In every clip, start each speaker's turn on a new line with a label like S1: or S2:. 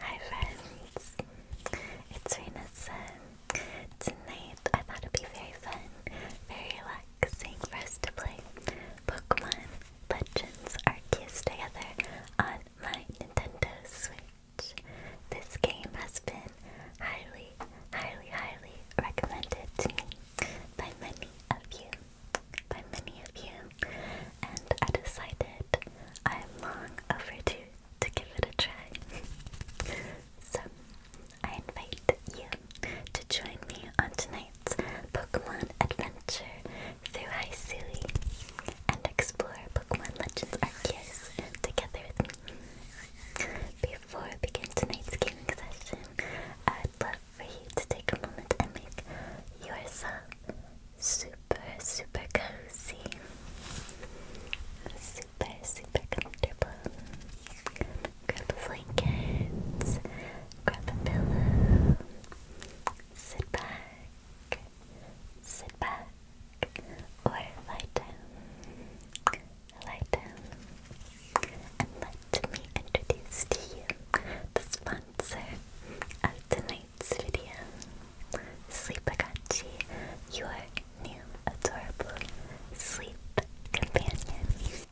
S1: Hi friends, it's Renessa. Tonight I thought it'd be very fun, very relaxing for us to play Pokemon Legends Arceus together on my Nintendo Switch. This game has been highly, highly, highly recommended to me by many of you by many of you, and I decided I'm long overdue to give it a try. so, I invite you to join me on tonight's Pokemon adventure through Hisui and explore Pokemon Legends Arceus together with me. Before we begin tonight's gaming session, I'd love for you to take a moment and make yourself super, super cozy, super, super comfortable. Grab a blanket, grab a pillow, sit back, sit back, or lie down, lie down, and let me introduce to you the spa sponsor of tonight's video, Sleepagachi, your new adorable sleep companion.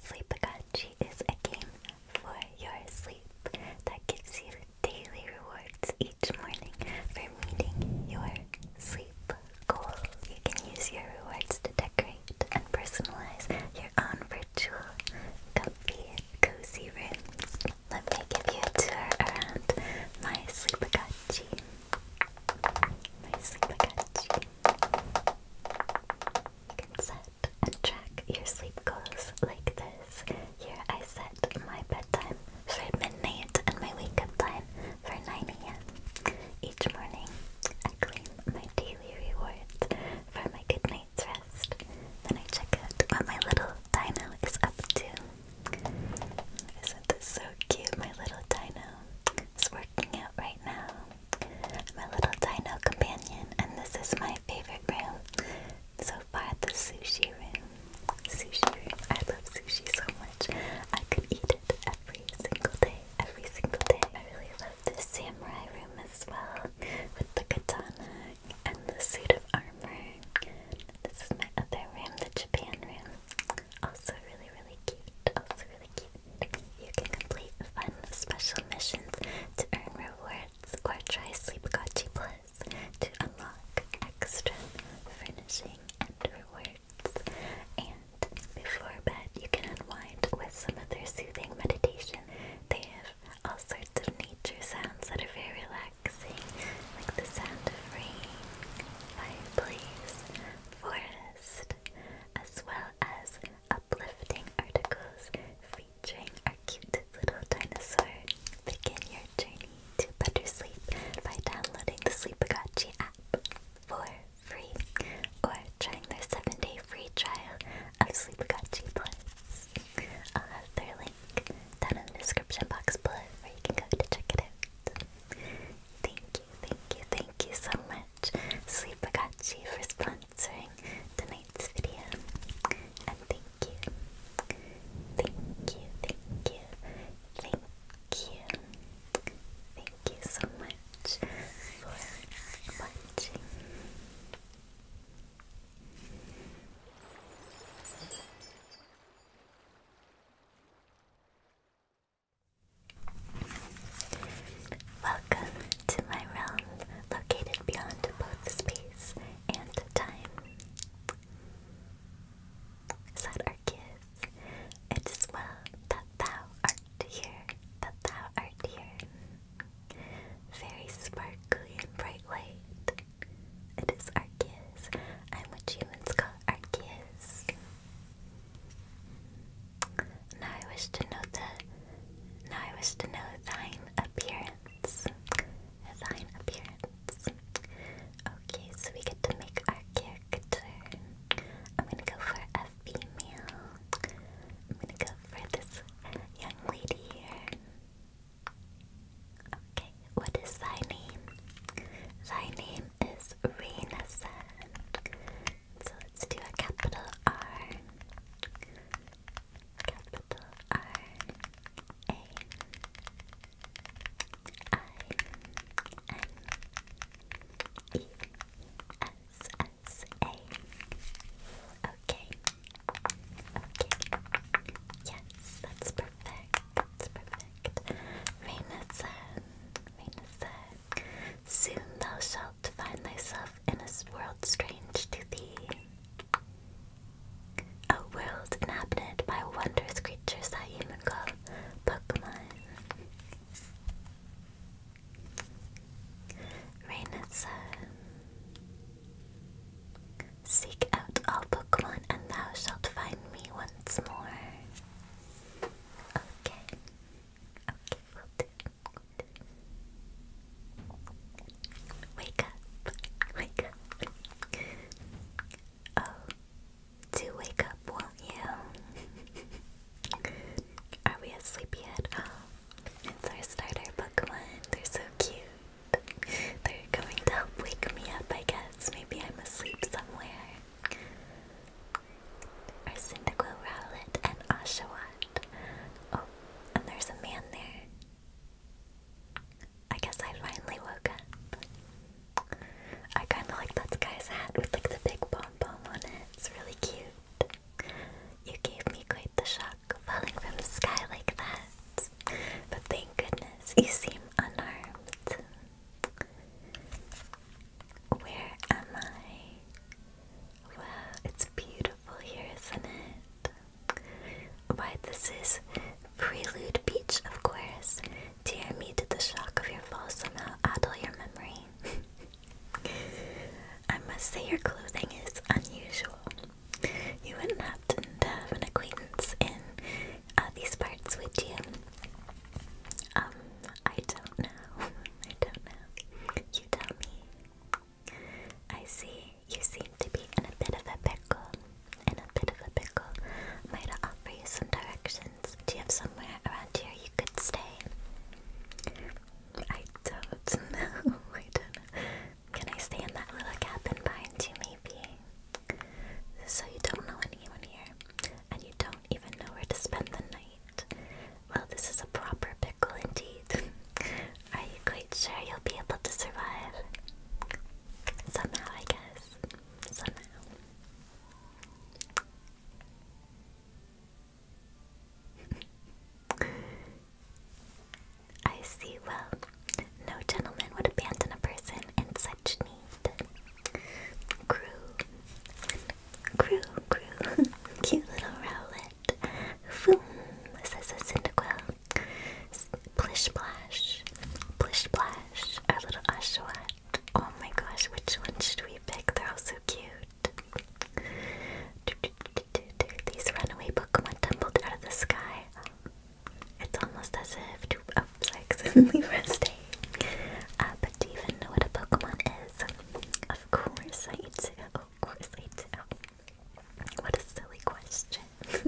S1: Sleepagachi is a game for your sleep that gives you daily rewards each morning for meeting your sleep goals. You can use your rewards to decorate and personalize your own virtual comfy cozy rooms. Let me give you a tour around my sleepagachi. My sleepagachi. You can set and track your sleep goals like this. Here I set my bedtime for midnight and my wake up time for 9 a.m. Each morning, I claim my daily reward for my good night then I check out what my little dino is up to. Isn't this so cute? My little dino is working out right now. My little dino companion, and this is my favorite room so far the sushi room. Sushi room. I love sushi so much. I could eat it every single day. Every single day. I really love this samurai room as well with the katana and the suit of armor. This is my other room, the Japan room. Also really, really cute. Also really cute. You can complete fun special missions to earn rewards or try Sleepgachi Plus to unlock extra furnishing and rewards. And before bed, you can unwind with some of soothing meditation. They have all sorts of nature sounds that are very relaxing, like the sound of rain, fireplace, forest, as well as uplifting articles featuring our cute little dinosaur. Begin your journey to better sleep by downloading the Sleepagachi app for free or trying their 7-day free trial of Sleepagachi Plus guys. I'll have their link down in the description box below where you can go to check it out. Thank you, thank you, thank you so much, Sleepagachi, for sponsoring tonight's video. And thank you. Thank you, thank you, thank you. Thank you so much for watching. Welcome to my realm, located beyond both space and time. Is that It is well that thou art here, that thou art here very sparkly and bright light. It is Arceus. I'm what humans call Arceus. Now I wish to know the now I wish to know thine appearance. Thine appearance. Okay, so we get to make our character. I'm gonna go for a female. I'm gonna go for this young lady here. Okay, what is thy name? Thy name is Rainasan. So let's do a capital R. Capital R A I N E S S A. Okay, Yes, that's perfect. That's perfect. Raina said, Raina said, Soon thou shalt find thyself in a world strange to thee. A world inhabited by wondrous creatures that human call Pokemon. Raina said, uh, Seek out all Pokemon and thou shalt find me once more. Okay. Okay, Wake up. Wake up. Oh. Do wake up, won't you? Are we a sleepyhead? It's our starter Pokemon. They're so cute. They're going to wake me up, I guess. Maybe I'm asleep somewhere. Our Cyndaquil, Rowlet, and Oshawott. Oh, and there's a man there. I guess I finally woke up. I kind of like that guy's hat with like the big pom pom on it. It's really cute. You gave me quite the shock falling from the sky like that. But thank goodness you seem unharmed. Where am I? Well, it's beautiful here, isn't it? Why, this is Prelude Beach, of course. Dear me, did the shock of your fall somehow addle your memory? I must say, your clothing is unusual. You wouldn't happen to have an acquaintance in uh, these parts, would you? Um, I don't know. I don't know. You tell me. I see. You seem to be in a bit of a pickle. In a bit of a pickle. Might I offer you some directions? Do you have somewhere around here you could stay? I don't know. I don't can I stay in that little cabin behind you, maybe? So you don't know anyone here, and you don't even know where to spend the night. Well, this is a proper pickle indeed. Are you quite sure you'll be able to survive? Somehow, I guess. Somehow. I see. Well, no gentleman would abandon a person in such need. Crew, crew, crew. Cute little Rowlet. Foom, says a Cyndaquil. Plish Splash, Plish Splash, our little Oshawott. Oh my gosh, which one should we pick? They're all so cute. These runaway Pokemon tumbled out of the sky. It's almost as if two ups oh, like suddenly uh, but do you even know what a Pokemon is? Of course I do. Of course I do. What a silly question.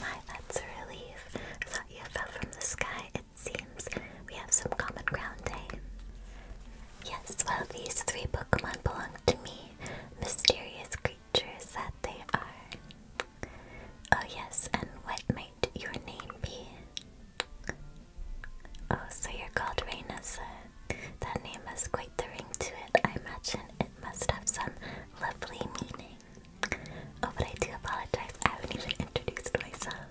S1: My, that's a relief. thought you fell from the sky. It seems we have some common ground, eh? Yes, well, these three Pokemon belong to me. Mysterious creatures creatures that they are. Oh, yes, and what might your name be? Oh, so you're called Rainessa. That name has quite the ring to it. I imagine it must have some lovely meaning. Oh, but I do apologize. I haven't even introduced myself.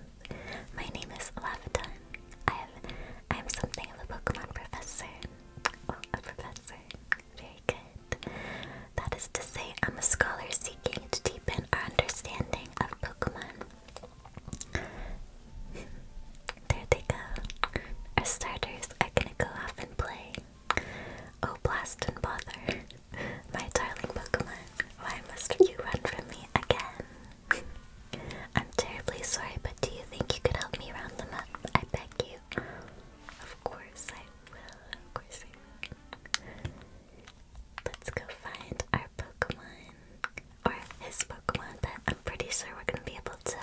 S1: My name is Lavatun. I'm something of a Pokemon professor. Well, a professor. Very good. That is to say, I'm a scholar seeking to deepen our understanding of Pokemon. there they go. Our starters are gonna go off and play. Oh, blast and bother. My darling Pokemon, why must you run from me again? I'm terribly sorry, but do you think you could help me round them up? I beg you. Of course I will. Of course I will. Let's go find our Pokemon. Or his Pokemon that I'm pretty sure we're gonna be able to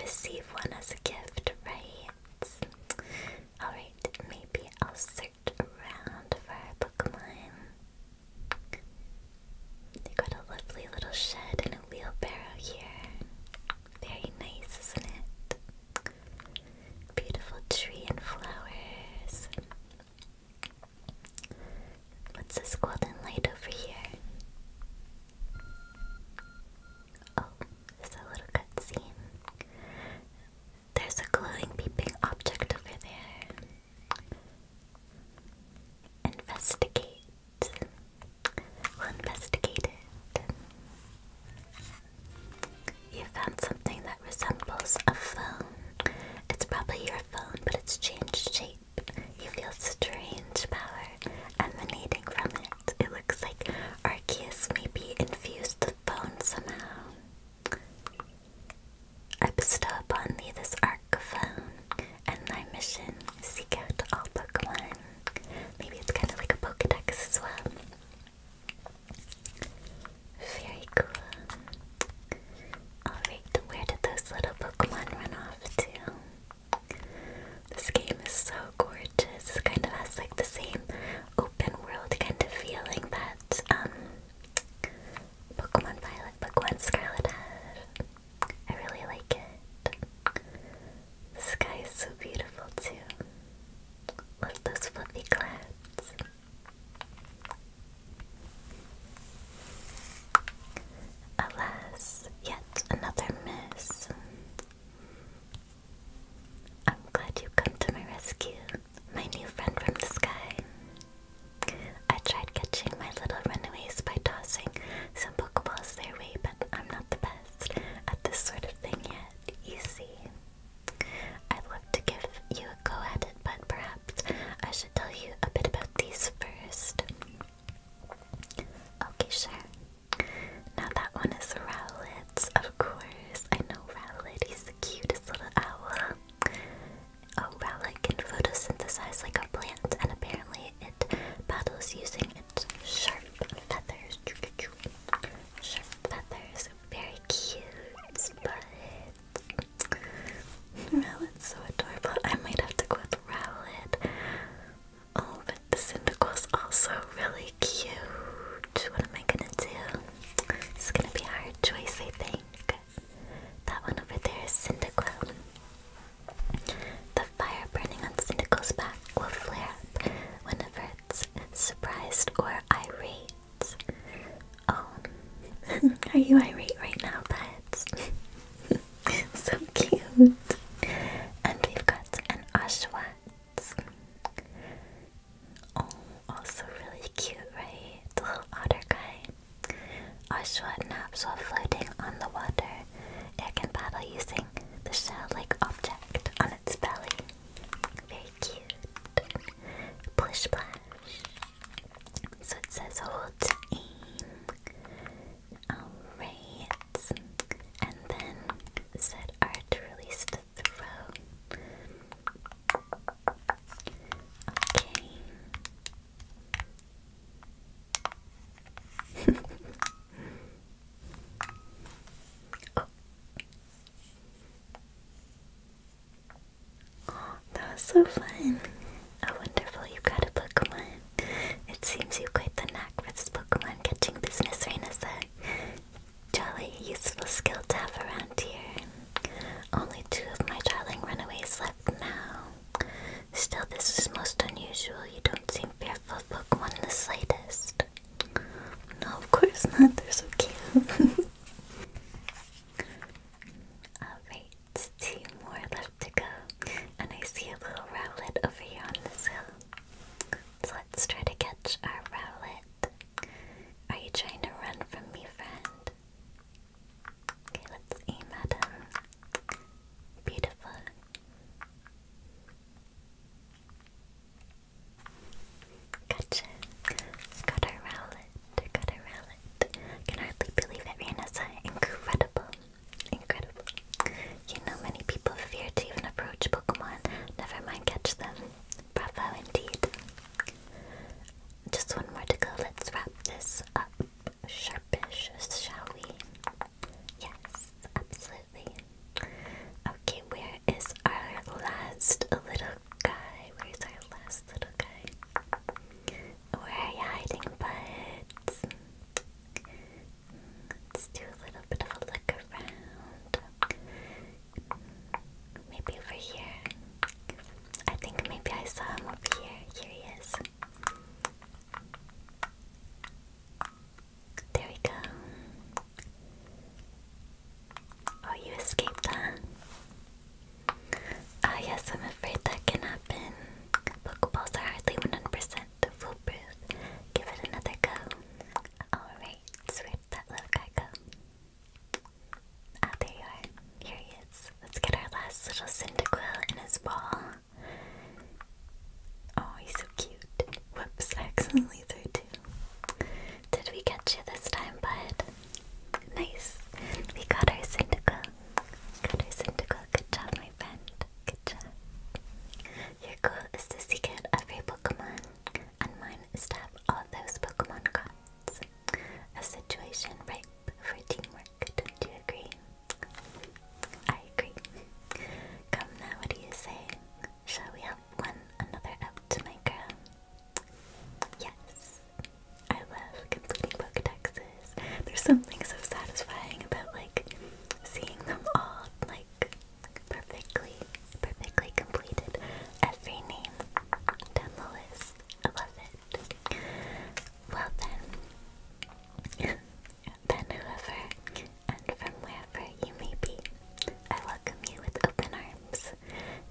S1: receive one as a gift, right? Alright, maybe I'll search around for our Pokemon. They got a lovely little shed and a wheelbarrow here. Very nice, isn't it? Beautiful tree and flowers. What's this golden light over here? Oh, there's a little cutscene. There's a glowing, beeping object over there. Investigate. We'll investigate it. You found something that resembles a phone. It's probably your phone, but it's changed shape. You feel strange power emanating from it. It looks like may be infused the phone somehow. I bestow upon thee this arc phone and thy mission. Seek out all Pokemon. Maybe it's kind of like a Pokedex as well. Very cool. Alright, where did those little Pokemon run off to? This game is so gorgeous. It kind of has like the same open world kind of feeling that um Pokemon Violet, Pokemon Scarlet have. I really like it. The sky is so beautiful too. Love those fluffy clouds. Alas, yet another miss. I'm glad you come to my rescue, my new friend from the sky. I tried catching my little runaways by tossing some pokeballs their way, but I'm not the best at this sort of thing yet, you see. I'd love to give you a go at it, but perhaps I should tell you a bit about these first. Okay, sure. Now that one is Rowlet, of course. I know Rowlet, he's the cutest little owl. Oh, Rowlet can photosynthesize like a plant, and apparently it battles using its sharp feathers. Your feathers are very cute, but Rowlet's so adorable. I might have to go with Rowlet. Oh, but the Cyndaquil's also really cute. What am I gonna do? It's gonna be a hard choice, I think. That one over there is Cyndaquil. The fire burning on Cynical's back will flare up whenever it's surprised or irate. Oh, are you irate right now, pets? so cute. And we've got an Oshawott. Oh, also really cute, right? The little otter guy. Oshawott naps while floating on the water. It can paddle using the shell-like object on its belly. Very cute. Push splash. So it says hold to aim. Alright. And then set R to release the throw. Okay. Oh. so fun. Oh, wonderful, you got a Pokemon. It seems you have quite the knack for this Pokemon catching business, Rainessa. Jolly useful skill to have around here. Only two of my darling runaways left now. Still, this is most unusual. You don't seem fearful of Pokemon in the slightest. No, of course not. They're so cute. Alright, two more left to go. And I see a little rowlet over here on this hill. So let's try to catch our rowlet. Are you trying to run from me, friend? Okay, let's aim at Beautiful. Gotcha. Got our Rowlet. Got our Can hardly believe it, Rhiannosa. Incredible. Incredible. You know many people fear to even approach Pokemon, never mind catch them. Bravo indeed. Just one more to go. Let's wrap this up. Sharpish, shall we? Yes, absolutely. Okay, where is our last little guy? Where's our last little guy? Oh, where are you hiding, bud? Let's do a little bit of a look around. Maybe over here. I think maybe I saw him over here. Here he is. There we go. Oh, you escaped, huh? Ah, yes, I'm afraid that can happen. Pokeballs are hardly 100% foolproof. Give it another go. Alright, where that little guy Ah, there you are. Here he is. Let's get our last little Cyndaquil in his ball. Oh, he's so cute. Whoops, I accidentally threw two. Did we catch you this time, bud? Nice. We got our Cyndaquil. Got our Cyndaquil. Good job, my friend. Good job. Your goal is to seek out every Pokemon, and mine is to have all those Pokemon cards. A situation ripe for teamwork, do you agree? I agree. Come now, what do you say? Shall we have one another up to my girl? Yes. I love completing book Pokedexes. There's something so satisfying about like seeing them all like perfectly, perfectly completed. Every name down the list. I love it. Well then, then whoever and from wherever you may be, I welcome you with open arms.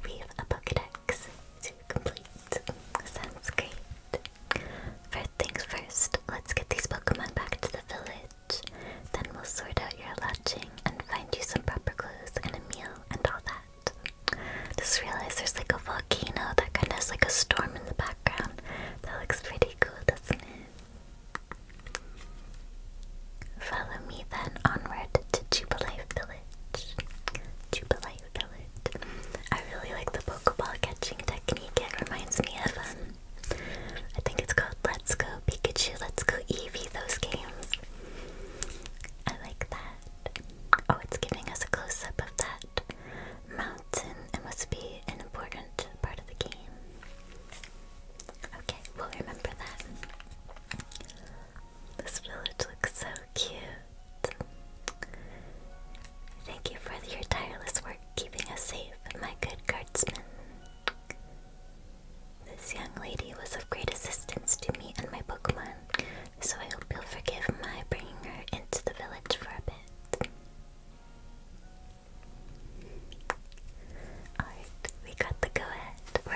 S1: We have a Pokedex to complete. Sounds great. First things first, let's get these Pokemon back to the village. Then we'll sort out your lodging and find you some proper clothes and a meal and all that. Just realized there's like a volcano that kind of has like a storm in the background. That looks pretty cool, doesn't it? Follow me then onward to Jubilife Village. Jubilife Village. I really like the Pokeball catching technique. It reminds me of um, I think it's called Let's Go Pikachu, Let's Go Eevee. Those games. I like that. Oh, it's giving us a close up of that mountain. It must be an important part of the game. Okay, we'll remember that. This village looks so cute. Thank you for your tireless work keeping us safe, my good guardsman. This young lady was of great assistance to me and my Pokemon, so I hope you'll forgive my bringing her into the village for a bit. Alright, we got the go ahead. we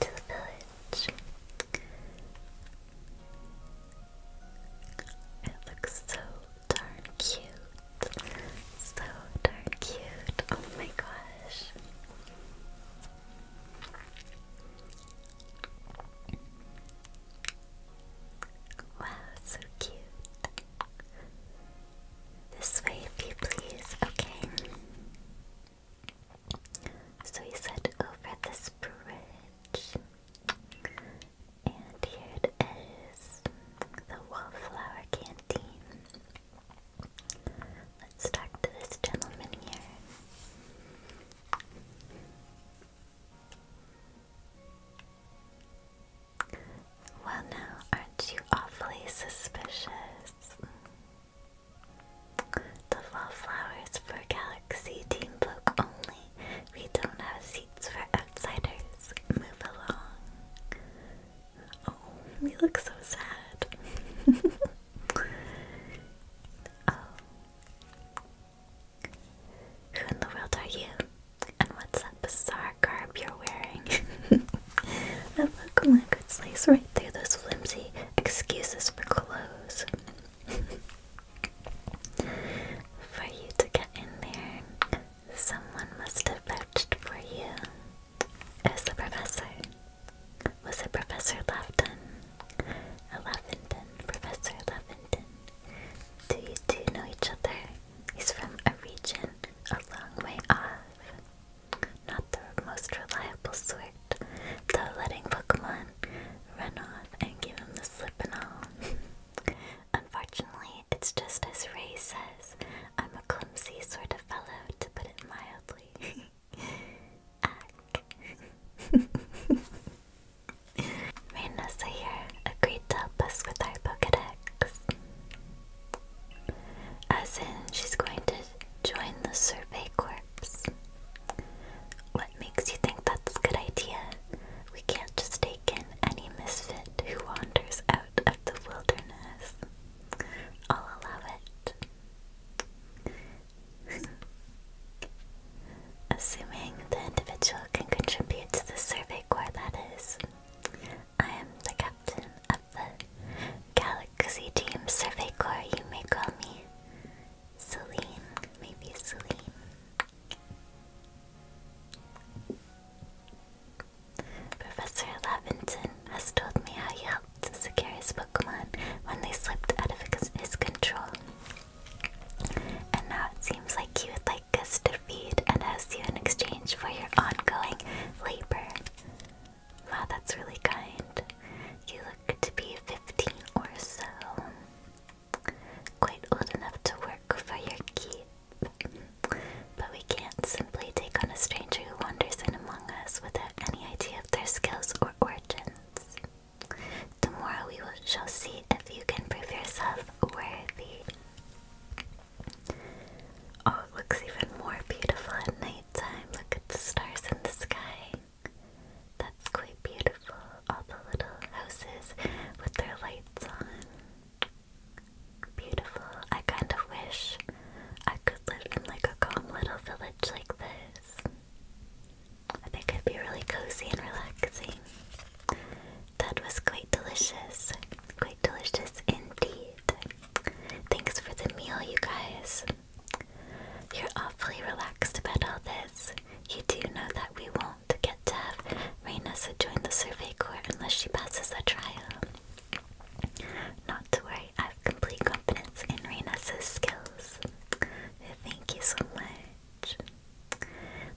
S1: into the village. It looks so darn cute. So darn cute. Oh my gosh. Wow, so cute. This way, if you please. Okay. So he said over this bridge. And here it is the Wallflower Canteen. Let's talk to this gentleman here. Well, now, aren't you awfully suspicious? The wallflowers for Galaxy Team Book only. We don't have seats for outsiders. Move along. Oh, you look so sad. Oh. Who in the world are you? And what's that bizarre garb you're wearing? A Pokemon could slice right through those flimsy excuses for clothes. for you to get in there, someone must have vouched for you. It was the professor. Was it Professor Laughton? Laughington, Professor Laughington. Do you two know each other? He's from a region a long way off. Not the most reliable sort, though letting Pokemon run off and give him the slip and all. Unfortunately, it's just as Ray says, I'm a clumsy sort of fellow, to put it mildly. Ack. Raina agreed to help us with our Pokedex. As in, she's going to join the Survey Corps. What makes you think that's a good idea? We can't just take in any misfit who wanders out of the wilderness. I'll allow it. Assuming the individual can contribute to the Survey Corps, that is. I am the captain of the Galaxy Team Survey Corps. You may call me Celine. Maybe Celine. Professor Laventon has told me how you helped secure his Pokemon when they slipped out of his control. And now it seems like you would like us to feed and house you in exchange for your ongoing labor. Wow, that's really kind. You look to be 15 or so. Quite old enough to work for your keep. But we can't simply take on a stranger who wanders in among us without any idea of their skills or origins. Tomorrow we will, shall see if you can prove yourself worthy. Oh, it looks even more beautiful at nighttime. Look at the stars in the sky. That's quite beautiful. All the little houses with their lights on. Beautiful. I kind of wish I could live in like a calm little village like this. I think it'd be really cozy and relaxing. That was quite delicious. Quite delicious indeed. Thanks for the meal, you guys. You're awfully relaxed about all this. You do know that we won't get to have Raina join the Survey Corps unless she passes a trial. Not to worry, I have complete confidence in Raina's skills. Thank you so much.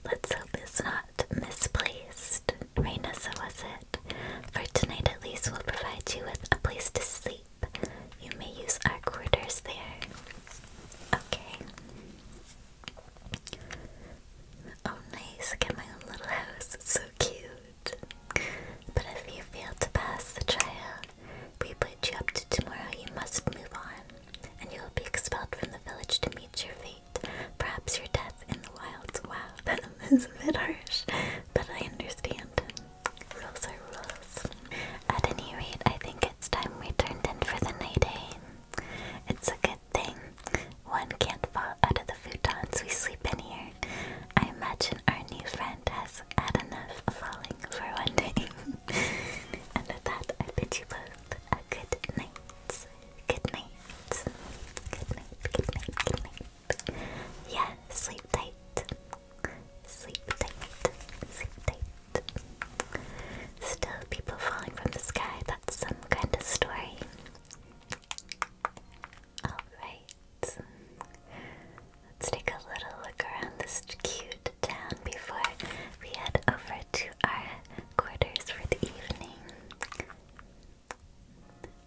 S1: Let's hope it's not misplaced. Raina, so was for tonight at least we'll provide you with a place to sleep. You may use our quarters there. Okay. Oh nice, get my own little house. It's so cute. But if you fail to pass the trial, we put you up to tomorrow. You must move on. And you will be expelled from the village to meet your fate. Perhaps your death in the wilds. Wow, that is a bit harsh but I understand. Rules are rules. At any rate, I think it's time we turned in for the night, eh? It's a good thing. One can't fall out of the futons we sleep in here. I imagine our new friend has had enough falling for one day. and with that, I bid you both a Good night. Good night. Good night. Yeah, sleep tight. Sleep tight. Sleep tight. Still people falling from the sky. That's some kind of story. Alright. Let's take a little look around this cute town before we head over to our quarters for the evening.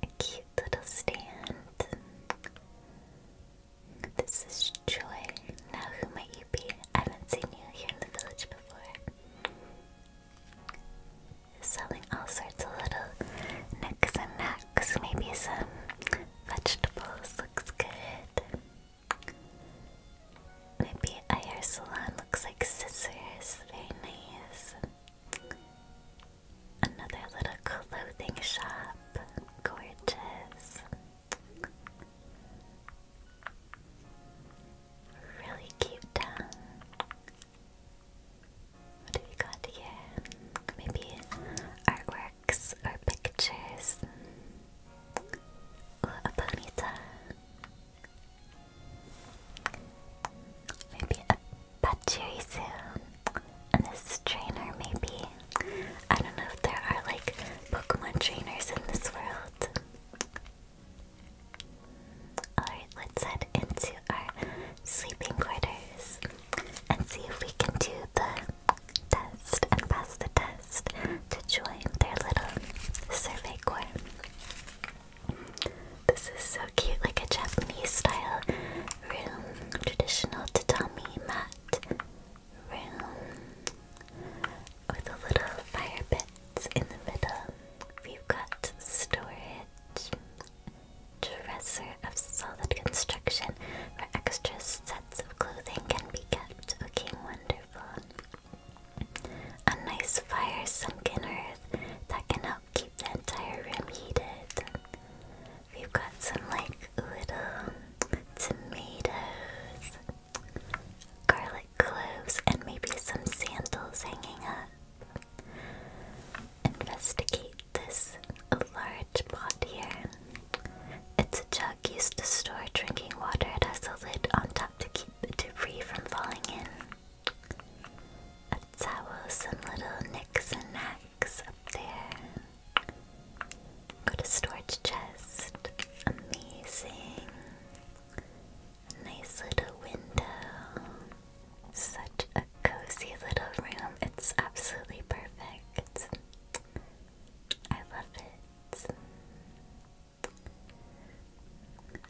S1: A cute little stand. This is Joy. Now, who might you be? I haven't seen you here in the village before. Selling all sorts of little nooks and knacks. Maybe some vegetables looks good. Maybe a hair salon looks like scissors. Very nice. Another little clothing shop. Gorgeous. Really cute What have we got here? Maybe artworks or pictures. Ooh, a ponyta. Maybe a Bachiri soon. And this trainer, maybe. I don't know if there are like Pokemon trainers in this world. Alright, let's head into our sleeping quarters and see if we can do the test and pass the test to join their little survey corps. This is so cute, like a Japanese style room, traditional tatami mat room with a little fire pit in the middle. We've got storage, dresser of solid construction extra sets of clothing can be kept. Okay, wonderful. A nice fire sunk in earth that can help keep the entire room heated. We've got some like little tomatoes, garlic cloves, and maybe some sandals hanging up. Investigate this large pot here. It's a jug used to store drinking water. It has a lid on top to keep the debris from falling in. A towel, some little nicks and nacks up there. Go to storage chest. Amazing. nice little window. Such a cozy little room. It's absolutely perfect. I love it.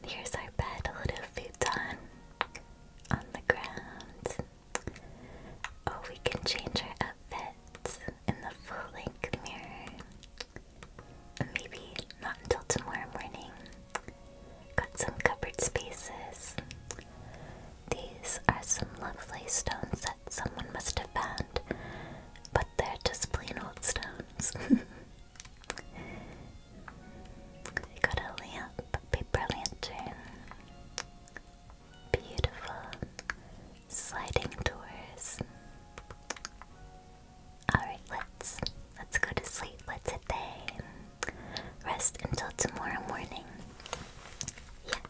S1: Here's our bed, a little futon on the ground. Oh, we can change our outfits in the full length mirror. Maybe not until tomorrow morning. Got some cupboard spaces. These are some lovely stones that someone must have found, but they're just plain old stones. Got a lamp, paper lantern. Beautiful sliding doors. Alright, let's let's go to sleep. Let's hit the rest until tomorrow morning. Yes.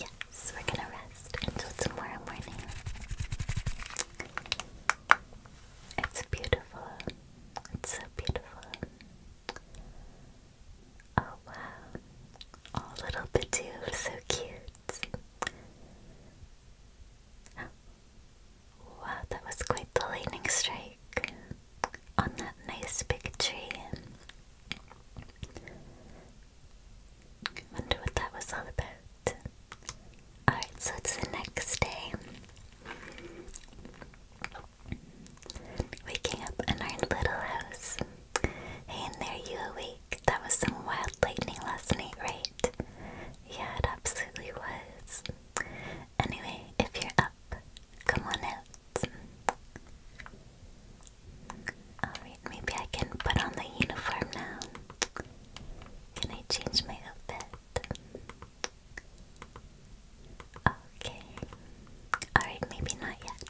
S1: Yes, we're gonna rest until tomorrow morning. It's beautiful. It's so beautiful. Oh wow. Oh, little Bidoof, so cute. Wow, that was quite the lightning strike on that nice big tree. Wonder what that was all about. Alright, so it's the next day. Waking up in our little house. Hey in there, you awake? That was some wild lightning last night, right? Yeah, it absolutely was. Anyway, if you're up, come on out. Alright, maybe I can put on the uniform now. Can I change my outfit? Okay. Alright, maybe not yet.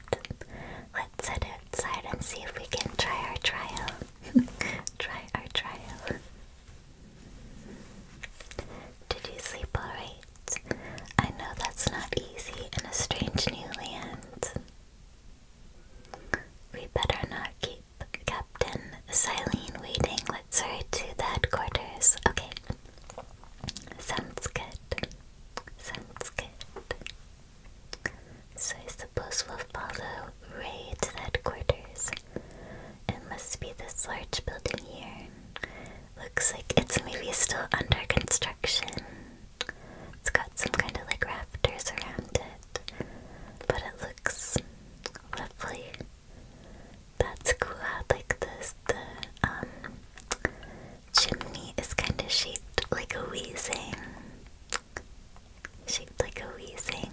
S1: Let's head outside and see if we can try our trial. try our trial. Did you sleep alright? I know that's not easy in a strange new land. We better not keep Captain Silene waiting. Let's hurry to the headquarters. Okay. Sounds good. Sounds good. So I suppose we'll follow Ray to the headquarters. It must be this large building here. Looks like it's maybe still under construction. It's got some kind of like rafters around it. But it looks lovely. That's cool how like this the um chimney is kind of shaped like a wheezing. Shaped like a wheezing.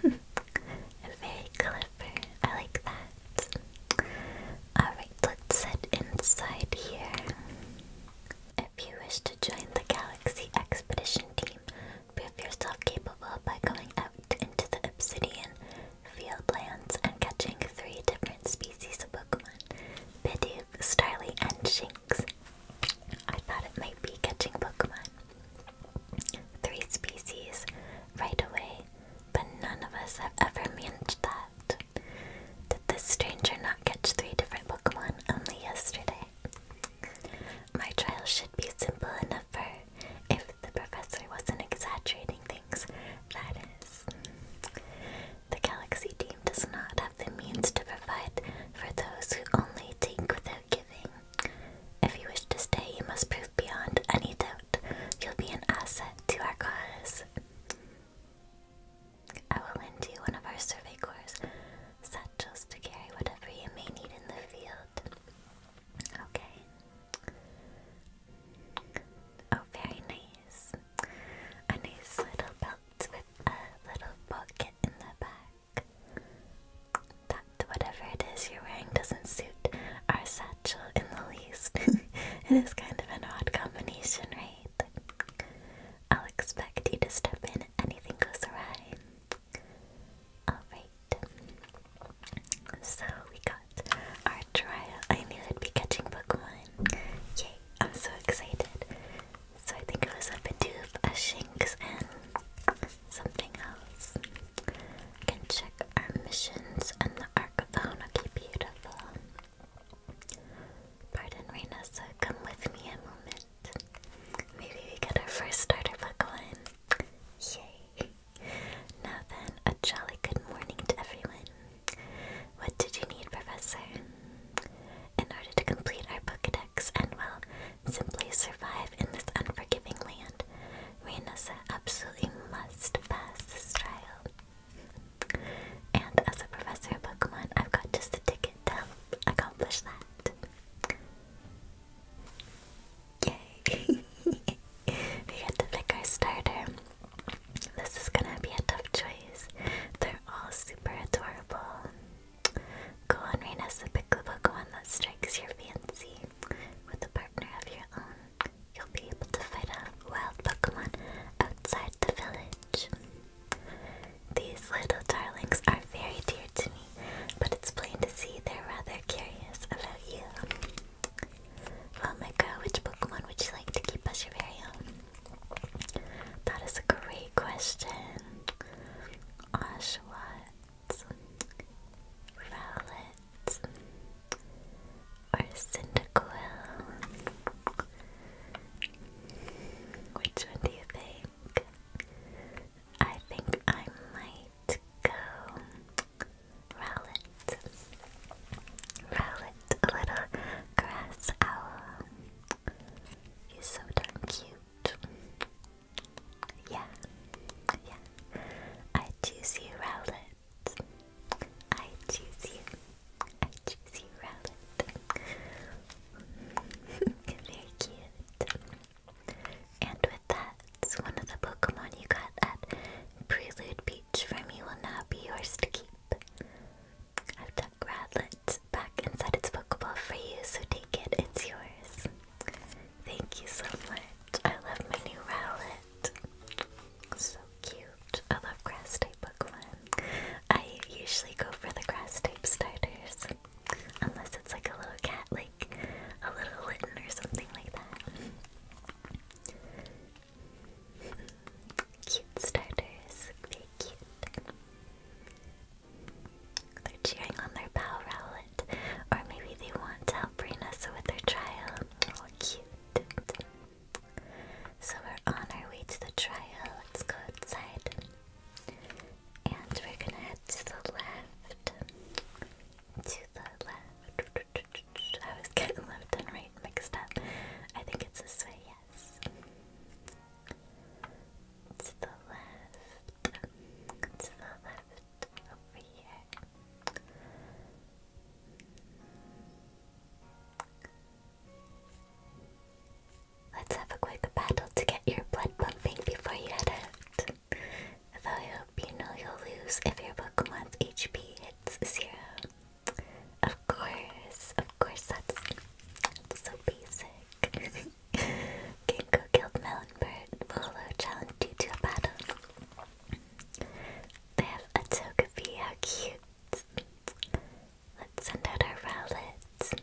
S1: Very clever. I like that. Alright, let's set inside here. If you wish to join the Galaxy Expedition team, prove yourself capable by going out into the obsidian field lands and catching three different species of Pokemon. Bidoof, Starly, and Shinx. I thought it might be catching Pokemon. Three species right away, but none of us have ever managed that. Did this stranger not catch three different Pokemon only yesterday? My trial should be simple enough for if the professor wasn't exaggerating things, that is. The Galaxy team does not have the means to provide for those who only take without giving. If you wish to stay, you must prove beyond any doubt you'll be an asset to our cause. I will lend you one of our survey cores satchels to carry whatever you may need in the field. Okay. Oh, very nice. A nice little belt with a little pocket in the back. That whatever it is you're wearing doesn't suit our satchel in the least. it is kind of an odd combination, right? I'll expect you to step in anything goes Right. Alright. So we got our trial. I knew I'd be catching Pokemon. Yay, I'm so excited. So I think it was a Bidoof, a Shinx, and something else. I can check our missions and the Arcaphone. beautiful. Pardon, Reyna, come with me a moment. Maybe we get our first starter Pokemon. Yay! Now then, a jolly good morning to everyone. What did you need, Professor? In order to complete our Pokedex and, well, simply survive in this unforgiving land, Reynosa absolutely must pass this trial. And as a professor of Pokemon, I've got just the ticket to accomplish that. Yay! we get to pick our starter. This is gonna be a tough choice. They're all super adorable. Go on, Reina's the pickleball. Go on, that strikes your fancy. With a partner of your own, you'll be able to fight a wild Pokemon outside the village. These little darlings are very dear to me, but it's plain to see they're rather curious about you. Well, my girl, which Pokemon would you like to keep as your very own? That is a great question. Oshawott, Rowlet, or Cyndaquil? Which one do you think? I think I might go Rowlet. Rowlet cute little grass owl. He's so darn cute. Yeah, yeah. I choose you, Rowlet. I choose you. I choose you, Rowlet. Very cute. And with that, one of the Pokemon you got at Prelude Beach from me will now be yours to keep. I've Gradlet back inside its Pokeball for you, so take it, it's yours. Thank you so much. I love my new Rowlet. So cute. I love grass type Pokemon. I usually go for the grass type starters. Unless it's like a little cat, like a little litten or something like that. Cute starters, very cute. They're cheering on their pal Rowlet, or maybe they want to help Reyna with their trial. Oh, cute. So we're on our way to the trial. Let's go outside. And we're gonna head to the left. To the left. I was getting left and right mixed up. I think it's this way, yeah yes. To the left. To the left. Over here. Let's have a quick battle to get your blood pumping before you head out. Though I hope you know you'll lose if your Pokemon's HP hits zero. Of course, of course, that's, so basic. Ginkgo killed Melon Bird. Volo you to a battle. They have cute. Let's send out our Rowlet.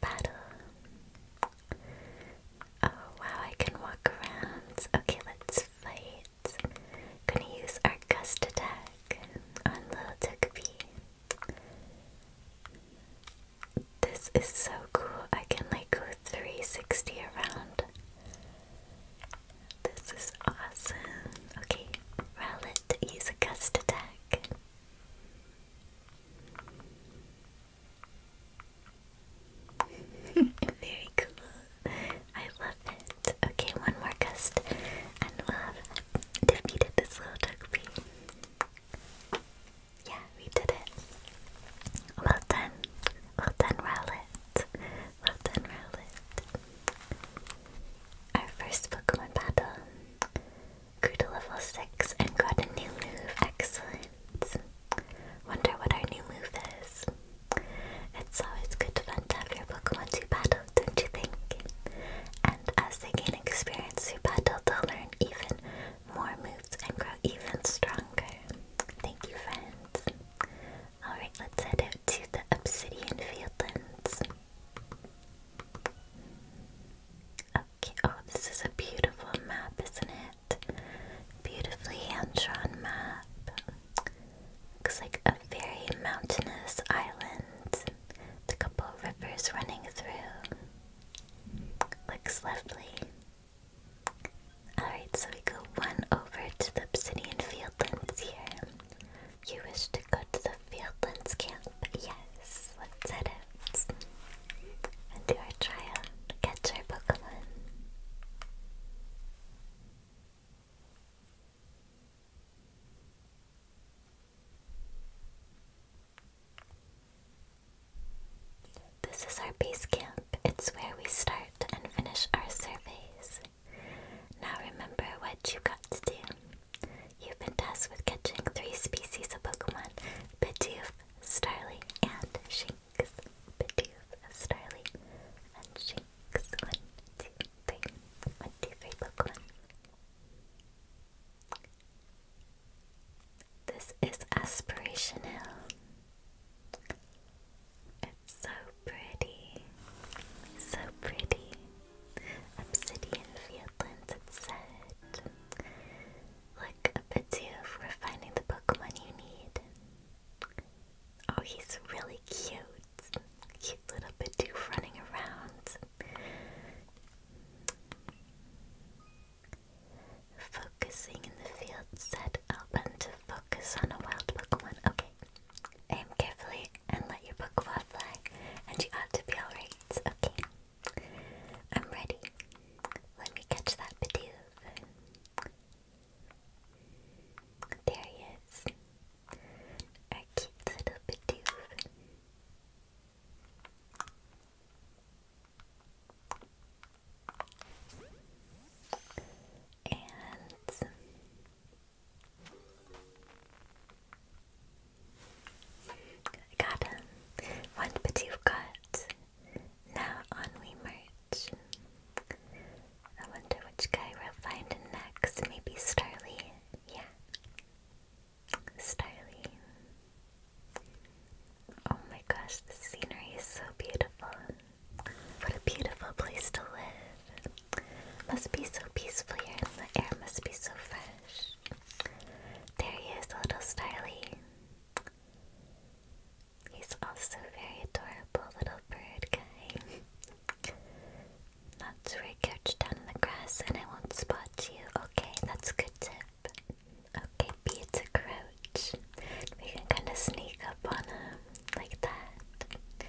S1: Battle. Oh wow, I can walk around. Okay, let's fight. Gonna use our gust attack on Little Tookbee. This is so cool. I can like go 360 around. This is awesome. Okay, Rowlet, use a gust attack. Very cool. I love it. Okay, one more gust, and we'll have defeated this little Togepi. Yeah, we did it. Well done. Well done, Rowlet. Well done, Rowlet. Our first Pokemon battle. Grew to level 6 and got a new move. Excellent. Wonder what our new move is. It's always good fun to have your Pokemon do battle don't you think? And as they gain experience they battle, to learn even more moves and grow even stronger. Thank you, friends. Alright, let's head out to the Obsidian Fieldlands. Okay, oh, this is a beautiful map, isn't it? Beautifully hand drawn map. Looks like a very mountainous island with a couple of rivers running through. Looks lovely. Alright, so we go one over to the Obsidian Fieldlands here. You wish to go to the Fieldlands camp? Yes, let's head out and do our trial. Catch our Pokemon. This is our base camp. It's where we start and finish our surveys. Now remember what you got to do. You've been tasked with catching three species of Pokemon Bidoof, Starly, and Shinx. Bidoof, Starly, and Shinx. One, two, three. One, two, three Pokemon. This is Aspiration It's so pretty. So pretty. Obsidian Fieldlands, it said. Look up at you for finding the Pokemon you need. Oh, he's really cute. Cute little Bidoof running around. Focusing in the field set up to focus on a wild Pokemon. Okay. Aim carefully and let your Pokemon fly. And you ought to be alright. Okay. I'm ready. Let me catch that Bidoof. There he is. Our cute little Bidoof. And I got him. One Bidoof got. Now on we march. I wonder which guy we'll find next. Maybe Starly yeah. Starling. Oh my gosh, the scenery is so beautiful. What a beautiful place to live. Must be so peaceful here, the air must be so fresh. There he is, little Starling. He's also very adorable little bird guy. Not to recurge down in the grass and I won't spot you. Okay, that's a good tip. Okay, B to crouch. We can kind of sneak up on him like that.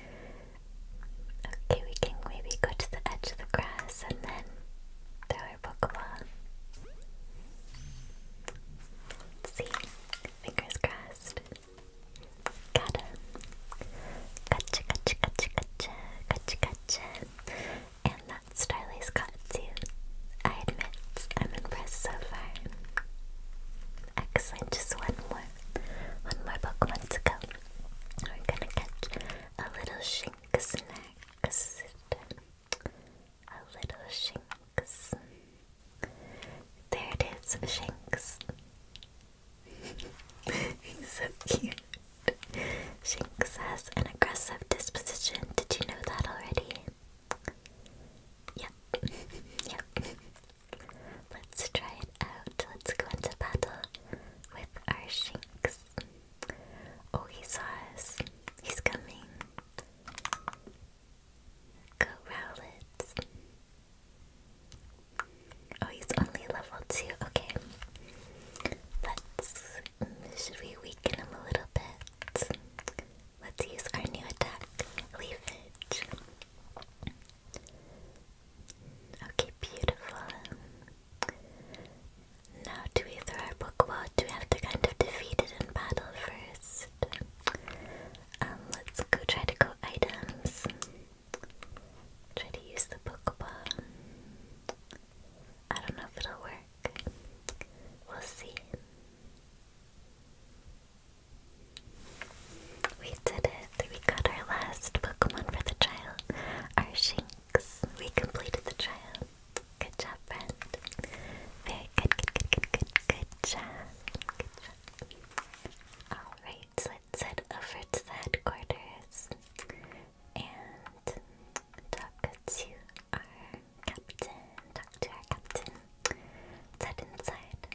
S1: Okay, we can maybe go to the edge of the grass and then throw our Pokemon. Let's see. Fingers crossed. Gotta gotcha, gotcha, gotcha, gotcha, gotcha, gotcha. And that starly got too. I admit, I'm impressed so far. Excellent, just one more. One more Pokemon to go. We're gonna catch a little Shink Snax. A little Shinx. There it is, Shinx. He's so cute. Shinx has an aggressive disposition. Did you know that already? Yep. yep. Let's try it out. Let's go into battle with our Shinx. Oh, he saw us. He's coming. Go Rowlet. Oh, he's only level 2, okay. Let's... should we weaken him a little bit? Let's use our new attack, Leafage. Okay, beautiful. Now do we throw our Pokeball? Do we have to kind of defeat it in battle first? Um, let's go try to go items. Try to use the Pokeball. I don't know if it'll work. We'll see. We did it. We got our last Pokemon for the trial. Our Shinx. We completed the trial. Good job, friend. Very good, good, good, good, good, job. Good job. Alright, let over to the headquarters and talk to our captain. Talk to our captain. let inside.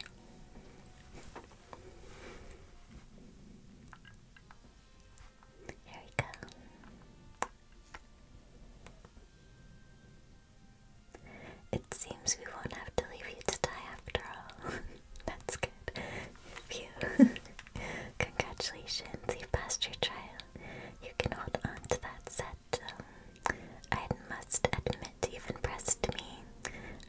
S1: Here we go. It seems we won't have to leave you to die after all. That's good. Congratulations, you've passed your trial. You can hold on to that set. Um, I must admit, you've impressed me.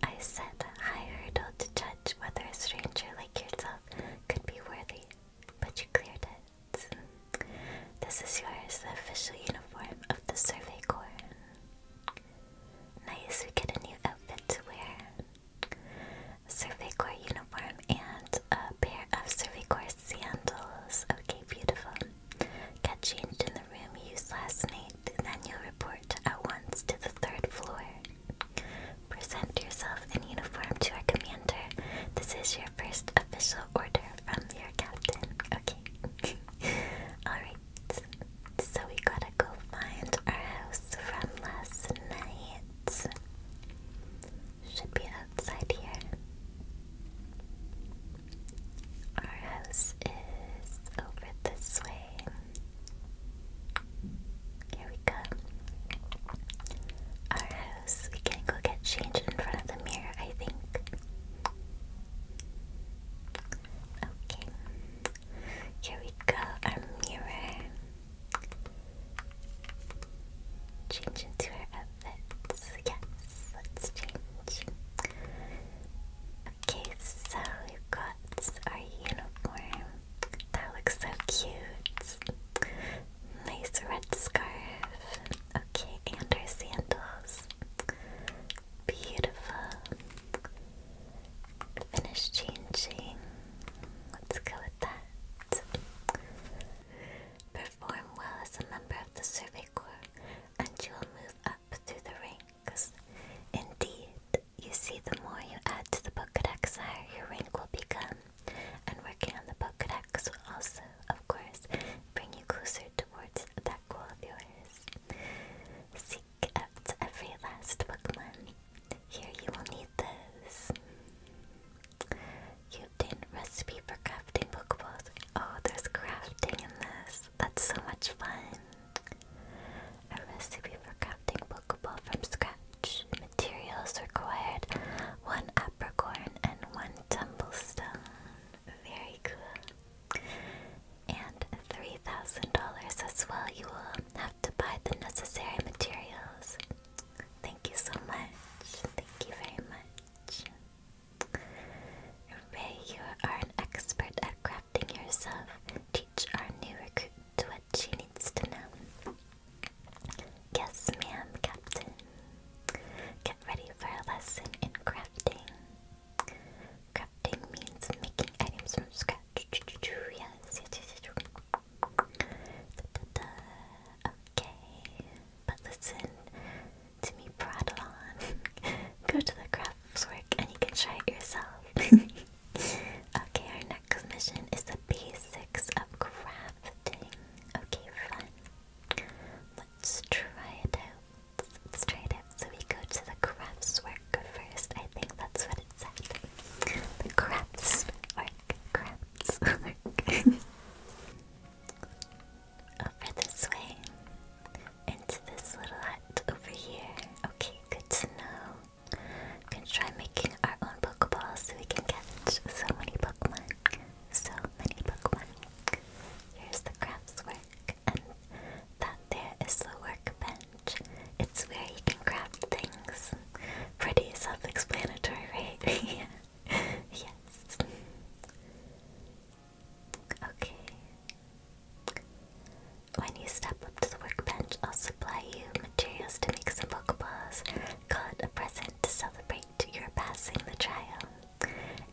S1: I set a high hurdle to judge whether a stranger like yourself could be worthy, but you cleared it. This is yours, the official uniform of the Survey Corps. Nice, we get a new outfit to wear. Survey Corps uniform and a pair of Survey Corps sandals. Okay, beautiful. Get changed in the room you used last night, then you'll report at once to the third floor. Present yourself in uniform to our commander. This is your first official order from your captain. Okay. Alright. So we got gotta go find our house from last night. Should be outside here. Our house is over this way. Here we go. Our house. We can go get change in front of the mirror, I think. Okay. Here we go. Our mirror. Change into our outfits. Yes, let's change. Okay, so we've got our uniform. That looks so cute. Nice red scarf. Okay, and our sandals. Beautiful. Finish changing. Let's go with that. Perform well as a member of the Survey Corps, and you will move up through the ranks. Indeed, you see, the more you add to the book of higher your rank will become. And working on the book of Pokedex will also, of course, bring you closer towards that goal of yours. Seek out every last Pokemon here you will need this. You obtained a recipe for crafting pokeballs. Oh, there's crafting in this. That's so much fun. A recipe for crafting pokeball from scratch. Materials required. One apricorn and one tumblestone. Very cool. And $3,000 as well. You will to buy the necessary materials. Thank you so much. Thank you very much. Ray, you are an expert at crafting yourself. Teach our new recruit what she needs to know. Yes, ma'am, Captain. Get ready for a lesson in crafting. Crafting means making items yes. Okay, but listen to me prattle on. Go to the crafts work and you can try it yourself. okay, our next mission is the basics of crafting. Okay, fun. Let's try it out. Let's try it out. So we go to the crafts work first. I think that's what the crafts work, crafts over this way, into this little hut over here. Okay, good to know. I'm gonna try making our own Pokeballs so we can catch so many Pokemon. So many Pokemon. Here's the crafts work, and that there is the workbench. It's where you can craft things. Pretty self explanatory, right? yes. Okay. When you step up to the workbench, I'll supply you materials to make some Pokeballs. Call a present to celebrate your passing the trial.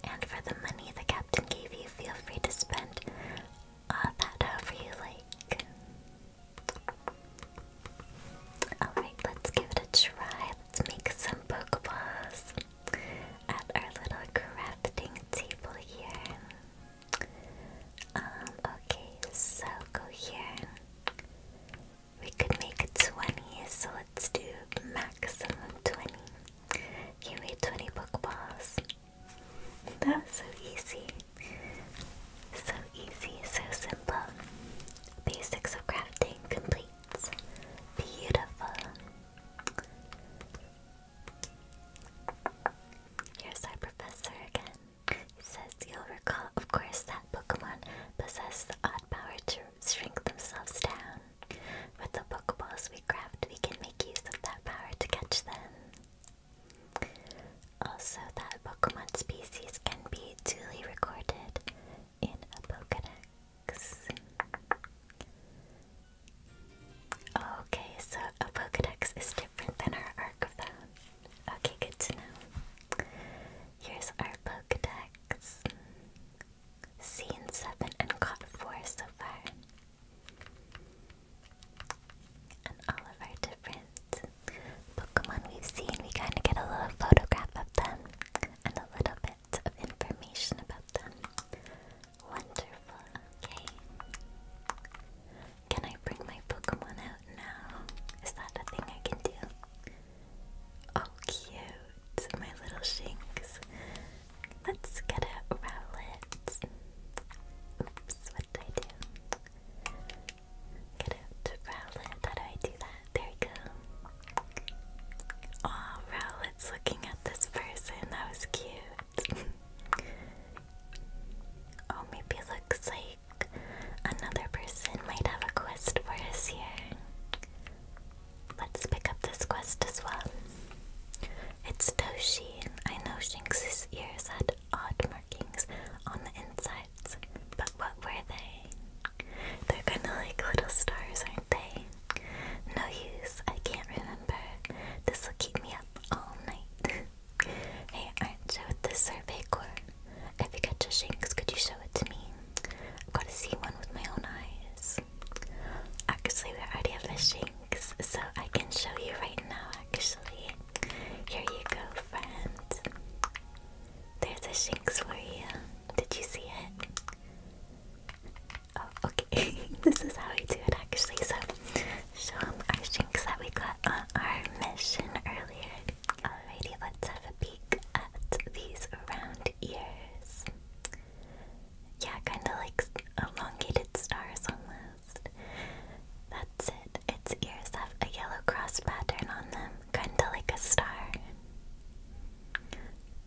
S1: And for the money the captain gave you, feel free to spend uh, that however you like. Alright, let's give it a try. Let's make some Pokeballs at our little crafting table here. Um, okay, so go here. We could make 20, so let's do maximum 20. Give me 20 Pokeballs. That was so easy. So easy, so simple. Basics of crafting complete. Beautiful. Here's our professor again. He says you'll recall, of course, that Pokemon possess the odd power to shrink themselves down. With the Pokeballs we craft, we can make use of that power to catch them. Also, that Pokemon species can be duly recorded in a Pokedex. Okay, so a Pokedex is different than our Arc Archiphone. Okay, good to know. Here's our Pokedex. Seen 7 and caught 4 so far. And all of our different Pokemon we've seen, we kind of get a little photograph of them and a little bit of information about them. Wonderful, okay. Can I bring my Pokemon out now? Is that a thing I can do? Oh, cute. My little Shinx. Let's get a Rowlet. Oops, what did I do? Get Rowlet. How I do that? There you go. Oh, Rowlet's looking at this person. That was cute. oh, maybe looks like another person might have a quest for us here. Let's pick up this quest as well. It's Toshi. I know Shinx's ears had odd markings on the inside but what were they? They're kinda like little stars, aren't they? No use, I can't remember. This will keep me up all night. hey, aren't you with the survey core? If you catch a shinx, could you show it to me? I've got to see one with my own eyes. Actually, we already have a shinx, so I can show you right now, actually. Here you go, friend. There's a Shinx for you. Did you see it? Oh, okay. this is how we do it actually. So, show them our Shinx that we got on our mission earlier. Alrighty, let's have a peek at these round ears. Yeah, kind of like elongated stars almost. That its ears have a yellow cross pattern on them, kinda like a star.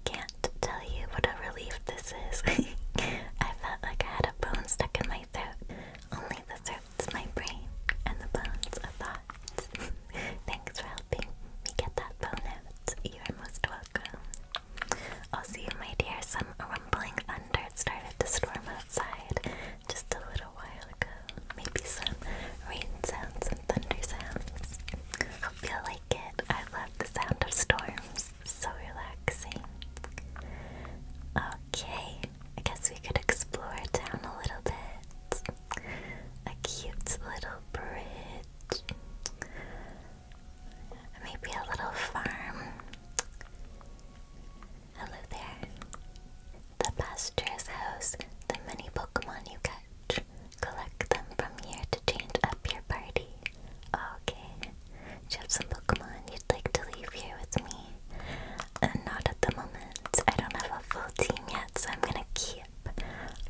S1: Can't tell you what a relief this is. I felt like I had a bone stuck in my throat. Only the throat's my brain, and the bones are thoughts. Thanks for helping me get that bone out. You are most welcome. Also, you might hear some rumbling thunder started to storm outside just a little while ago. Maybe some rain sounds and thunder sounds. Hope you like it. I love the sound of storms. so relaxing. Okay, I guess we could explore town a little bit. A cute little bridge. Maybe a little farm. Hello there the pasture's house, the many Pokemon you catch. Collect them from here to change up your party. Okay. Do you have some Pokemon you'd like to leave here with me? Uh, not at the moment. I don't have a full team yet, so I'm gonna keep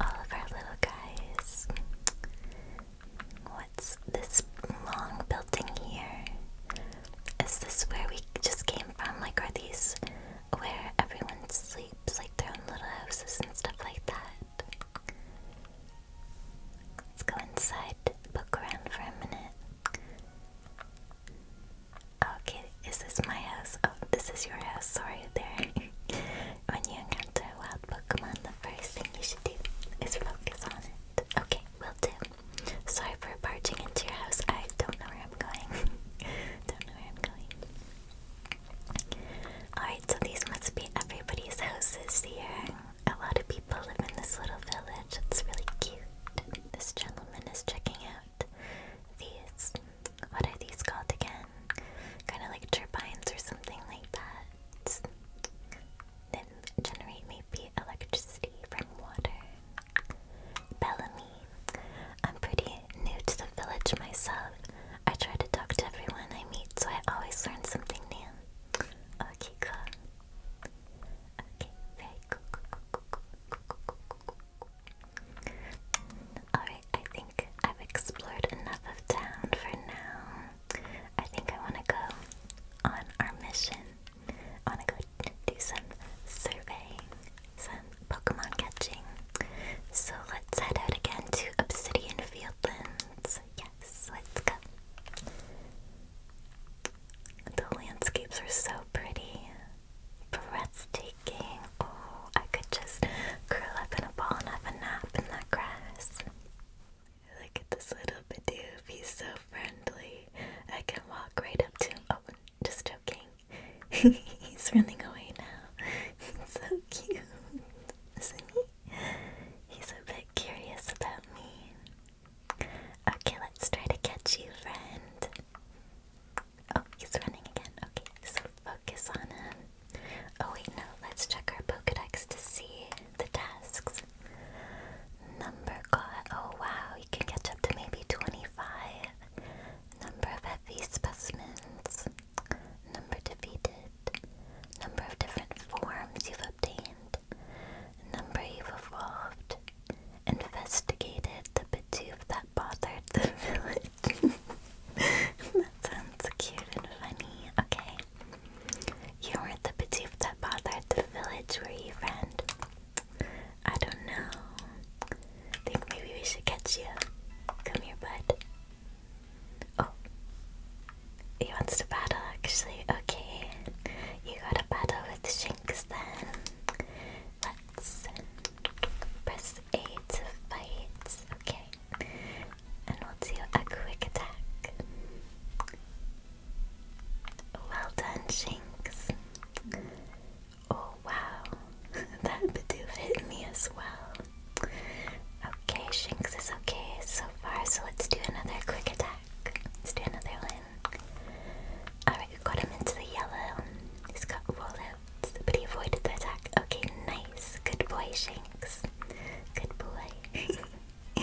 S1: all of our little guys. What's this long building here? Is this where we just came from? Like, are these where everyone sleeps, like their own little houses and stuff like that. Let's go inside, look for a minute. Okay, is this my house? Oh, this is your house, sorry, there. when you encounter a wild Pokemon, the first thing you should do is focus on it. Okay, will do. Sorry for barging into your house, I don't know I'm going. Don't know where I'm going. Alright, so these must be everybody's houses here. A lot of people live in this little village. It's really cute. This gentleman is checking out these. What are these called again? Kind of like turbines or something like that. Then generate maybe electricity from water. Bellamy. I'm pretty new to the village myself. I try to talk to everyone I meet, so I always learn something new. Okay, cool. Okay, very cool. Alright, I think I've explored enough of town for now. I think I want to go on our mission. want to go do some surveying, some Pokemon catching. So let's head out again to Obsidian Fieldlands. Yes, let's go. The landscapes are so pretty, breathtaking. Oh, I could just curl up in a ball and have a nap in that grass. Look at this little Bidoof, he's so friendly. I can walk right up to him. Oh, just joking. He's running away now. He's so cute, isn't he? He's a bit curious about me. Okay, let's try to catch you, friend. Oh, he's running again. Okay, so focus on him. Oh, wait, no, let's check our Pokedex to see the tasks. Number God. Oh, wow, you can catch up to maybe 25. Number of FE specimens. Number defeated. Number of different forms you've obtained. Number you've evolved. Investigated the Bidoof that bothered the village. that sounds cute and funny. Okay. You weren't the Bidoof that bothered the village, were you, friend? I don't know. I think maybe we should catch you. Come here, bud. Oh. He wants to battle, actually. Okay. You got a battle with Shinx then. Let's press A to fight. Okay. And we'll do a quick attack. Well done, Shinx. Oh wow, that Bidoof hit me as well. Okay, Shanks is okay so far, so let's do another quick attack. Let's do another one. Alright, we got him into the yellow. He's got rollouts, but he avoided the attack. Okay, nice. Good boy, Shanks. Good boy.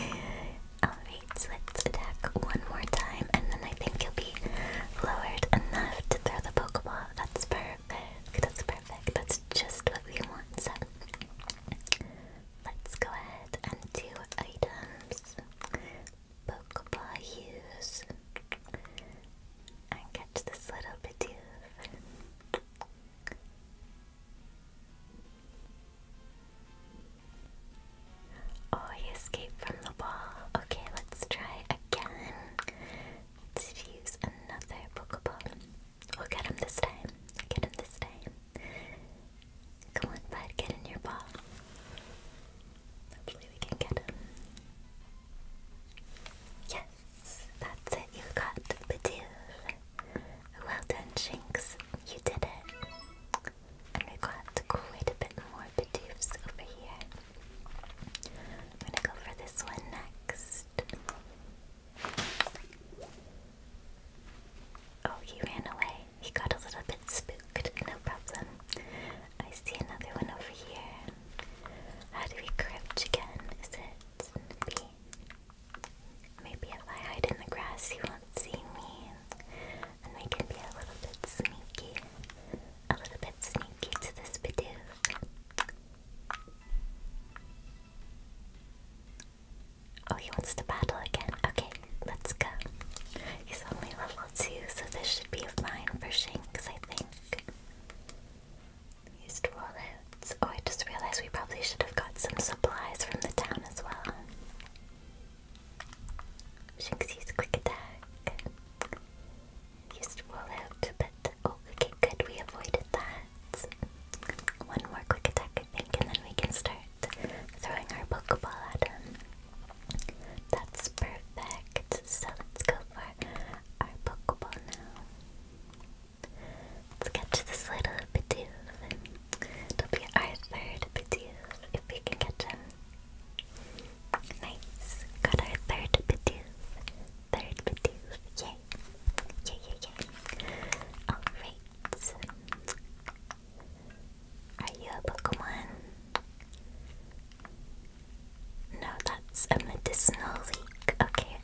S1: Alright, let's attack one more time and then I think you'll be lowered enough to throw the Pokeball. That's perfect. That's perfect. That's just what we want. So let's go ahead and do items. Pokeball use and catch this little Bidoof. Oh, he escaped from the ball. Okay, let's try again let use another Pokeball. We'll get him this time. Get him this time. Come on, bud, get in your ball. Hopefully we can get him. Yes, that's it. You got Bidoof. Well done, Jinx. You did it. And we got quite a bit more more over here. I'm gonna go for this one next. Oh, he ran away. He got a little bit spooked. No problem. I see another one over here. How do we crouch again? Is it B? Maybe if I hide in the grass, he won't see me. And we can be a little bit sneaky a little bit sneaky to this Bidoof. Oh, he wants to battle again. Okay, let's go. He's only level 2, so this should be fine for Shanks, I think. Used rollouts. Oh, I just realized we probably should have got some supplies from the town as well. Shanks used quick attack used roll out, but oh, okay, good, we avoided that. One more quick attack, and then we can start throwing our Pokeball at him. That's perfect. So let's go for our Pokeball now. Let's get this little Bidoof. It'll be our third Bidoof if we can catch him. Nice. Got our third Bidoof. Third Bidoof. Yay. Yay, yay, yay. Alright. Are you a Pokemon? No, that's a medicinal leak. Okay.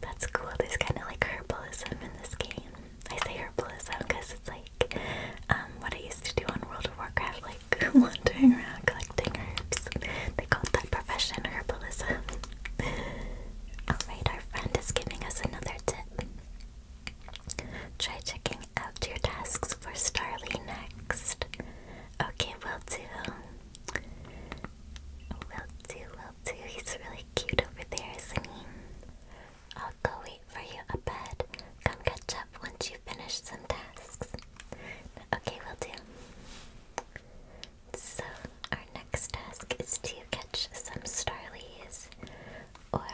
S1: That's cool. There's kind of like herbalism in this game. I say herbalism because it's like um, what I used to do on World of Warcraft, like like wandering around collecting herbs. They call that profession herbalism. Alright, our friend is giving us another tip. Try checking out your tasks for Starly next. Okay, will do. Will do, will do. He's really cute over there, isn't he? I'll go wait for you a bed. Come catch up once you finish some tasks. Okay, we'll do. So, our next task is to catch some starlies, or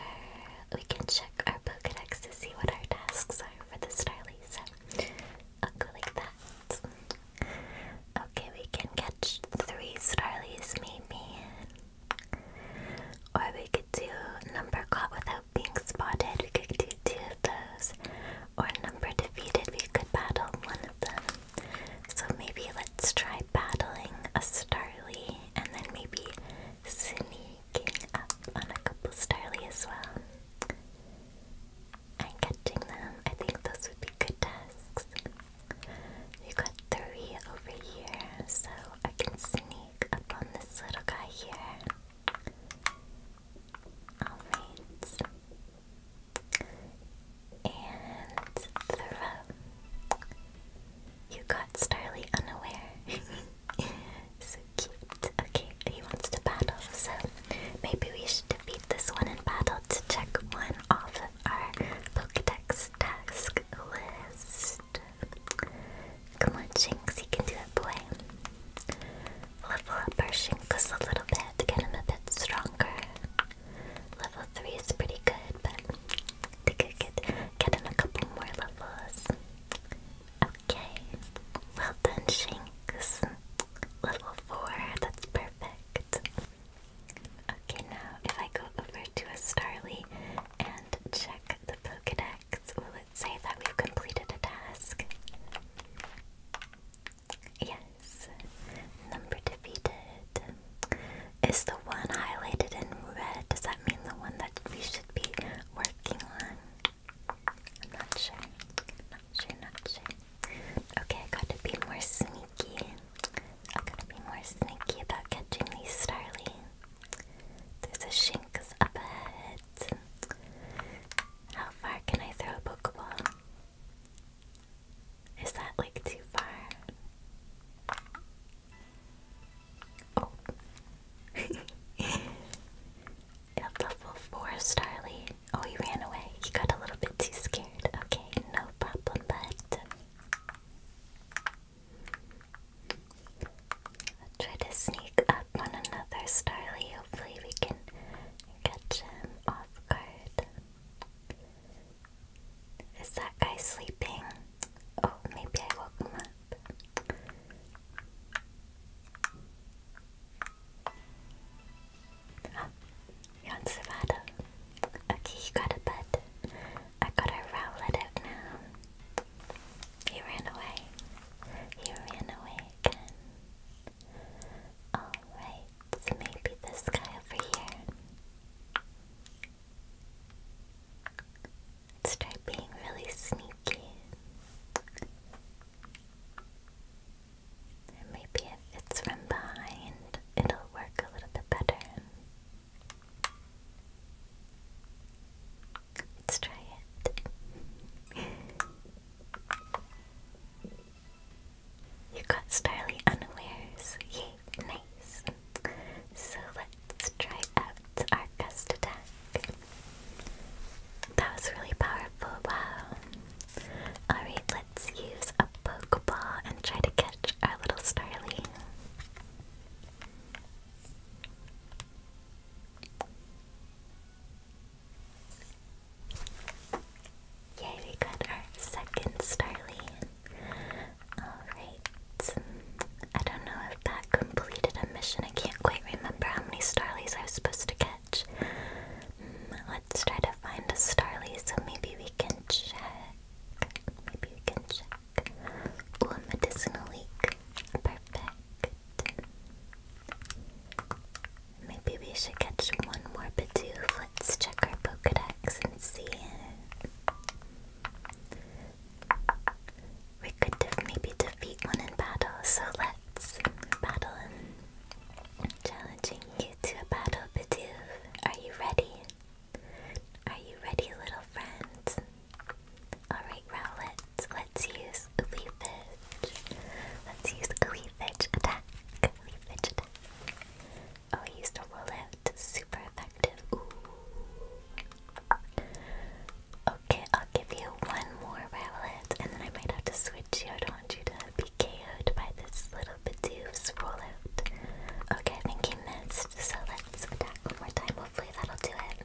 S1: we can check our Pokedex to see what our tasks are for the starlies. So, I'll go like that. Okay, we can catch three starlies, maybe. Or we could do number caught without being spotted, we could do two of those. Or number defeated, we could battle one of them. So maybe let's try battling a Starly and then maybe sneaking up on a couple Starly as well. And catching them. I think those would be good tasks. You got three over here, so I can sneak up on this little guy here. Alright. And throw. You got Starly unaware. so cute. Okay, he wants to battle, so maybe we should defeat this one in battle to check one off of our Pokedex task list. Come on, Jinx, you can do it, boy. Level up our Shinkus a little bit to get him a bit stronger. Level 3 is pretty good, but they could get, get in a couple more levels. Okay. Well done, Shinkus. Level 4, that's perfect. Okay, now if I go over to a Starly and check the Pokedex, will let's say that we've completed a task. Yes, number defeated is the one highlighted in red. Does that mean the one that we should be working on? I'm not sure. Not sure, not sure. Okay, I gotta be more sneaky. I gotta be more sneaky about catching these starlings. There's a Shinx up ahead. How far can I throw a Pokeball? Is that like too far? Oh. a level 4 Starly. Oh, he ran away. He got a little bit too scared. Okay, no problem, bud. try to sneak up on another Starly. Hopefully, we can Catch him off guard. Is that guy sleeping? Oh, maybe I woke him up. Oh, you Okay, he got a bed. I gotta Rowlet out now. He ran away. He ran away again. Alright, so maybe this guy over here. Let's try being really sneaky. maybe if it's from behind, it'll work a little bit better. Let's try it. You got Starly unawares. Yay, nice. So let's try out our gust attack. That was really powerful, wow. Alright, let's use a Pokeball and try to catch our little Starly. Yay, we got our second Starling. Alright. I don't know if that completed a mission. I can't quite remember how many Starlies I was supposed to catch. Hmm, let's try to find a Starly so maybe we can check. Maybe we can check. Ooh, a medicinal leak. Perfect. Maybe we should catch one more Bidoof. Let's check our Pokedex and see We could maybe defeat one in battle, so let's battle him. Challenging you to a battle, Bidoof. Are you ready? Are you ready, little friend? Alright, Rowlet, let's use leafage. Let's use leafage attack. Leafage attack. Oh, I used a rollout. Super effective. Okay, I'll give you one more rollout, and then I might have to switch you. I don't want you to be ko by this little Bidoof's rollout. Okay, I missed, so let's attack one more time. Hopefully that'll do it.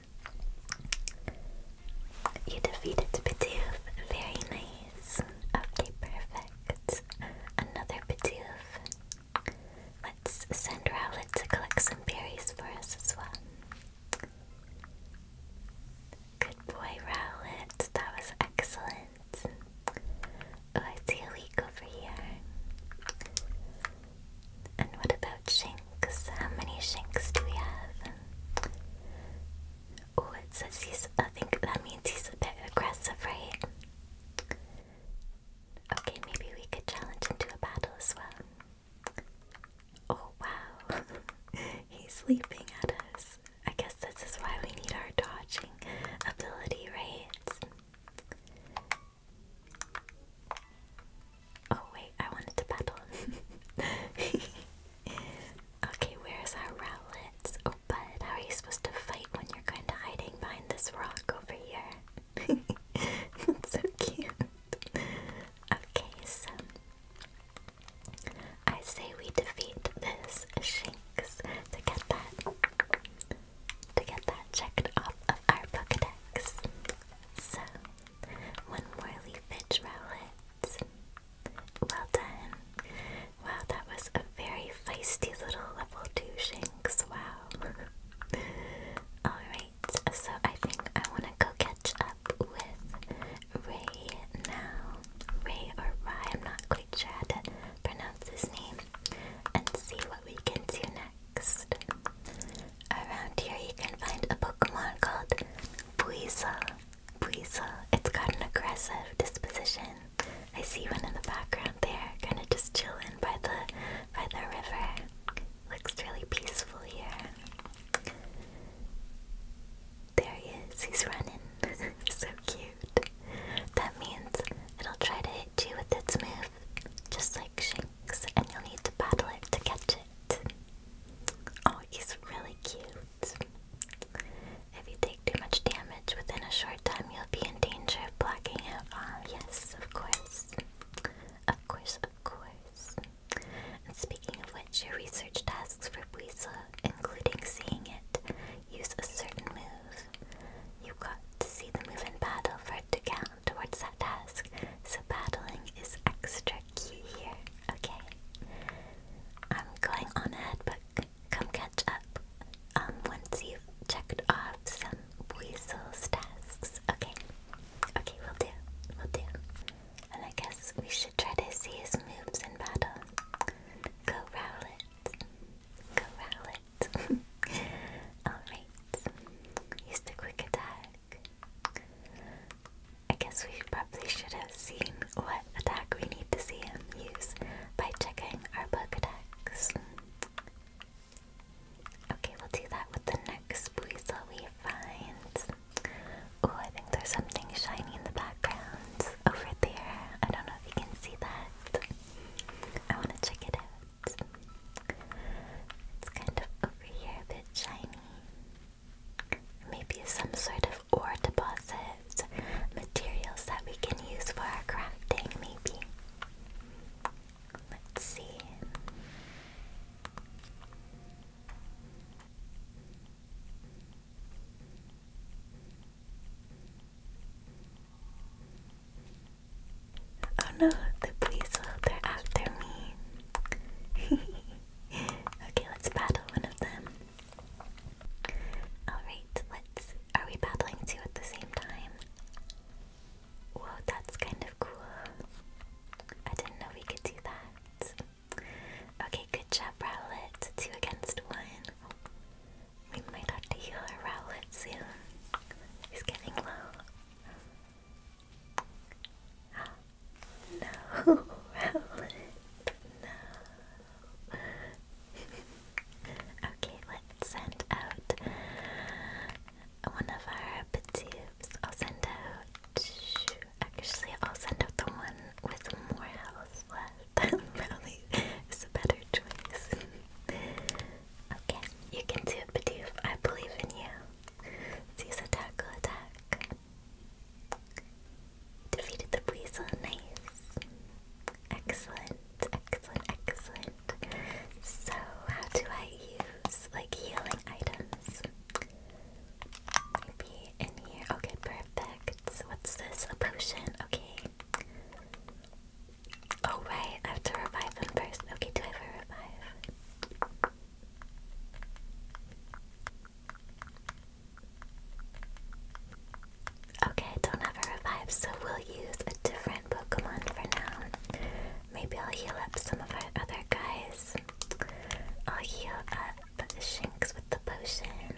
S1: You defeated Bidoof. Very nice. Okay, perfect. Another Bidoof. Let's send Rowlet to collect some berries for us as well. Good boy, Rowlet. That was excellent. Oh, I see a leak over here. And what about Shinx? How many Shinx do we have? Oh, it says he's. I think that means he's a bit aggressive, right? Okay, maybe we could challenge him a battle as well. Oh, wow. he's leaping at us. I guess this is why we need our dodging ability, right? Oh, wait, I wanted to battle Okay, where's our Rowlets? Oh, bud, how are you supposed to fight when you're kind of hiding behind this rock over here? That's so cute. Okay, so I say we defeat this Shinx to get that to get that checked off of our Pokedex. So one more leafage Rowlet. Well done. Wow, that was a very feisty little level 2 Shanks. Wow. Alright, so I think I want to go catch up with Ray now. Ray or Rye, I'm not quite sure how to pronounce his name. And see what we can do next. Around here you can find a Pokemon called Buizel. Weasel, it's got an aggressive disposition. I see one in the background there, kind of just chilling by the by the river. Looks really peaceful here. There he is. He's running. so cute. That means it'll try to hit you with its move, just like shanks, and you'll need to battle it to catch it. Oh, he's really cute. If you take too much damage within a short time, you'll be in danger of blacking out. Ah, yes, of course. Of course, of course. And speaking of which, your research tasks for Buisa, including seeing it, use a certain move. You've got to see the move in battle for it to count towards that task, so battling is extra key here, okay? I'm going on ahead, but come catch up um, once you've checked off some weasel's tasks. Okay, okay, we'll do, we'll do. And I guess we should try to see his moves in battle. Go Rowlet, go Rowlet. Alright, use the quick attack. I guess we probably should have seen what attack we need to see him use by checking our Pokedex. Okay, we'll do that with the next weasel we find. Oh, I think there's something shiny in the background over there. I don't know if you can see that. I want to check it out. It's kind of over here, a bit shiny. Maybe some sort of ore deposits, materials that we can use for our crafting, maybe. Let's see. Oh no, the police oh, they're after me. okay, let's battle one of them. Alright, let's. Are we battling two at the same time? Whoa, that's kind of cool. I didn't know we could do that. Okay, good job, Rowlet. Two against one. We might have to heal our Rowlet soon. He's getting low. No, Rowlet. No. okay, let's send out one of our Pitoobs. I'll send out. Actually, I'll send out the one with more health That probably is a better choice. okay, you can do it, I believe in you. let a tackle attack. Defeated the weasel, nice. Excellent, excellent, excellent. So, how do I use like healing items? Maybe in here. Okay, perfect. What's this? A potion? Okay. Oh, right. I have to revive him first. Okay, do I have a revive? Okay, don't have a revive, so we'll use a different Pokemon for now. Maybe I'll heal up some of our other guys. I'll heal up Shinx with the potion,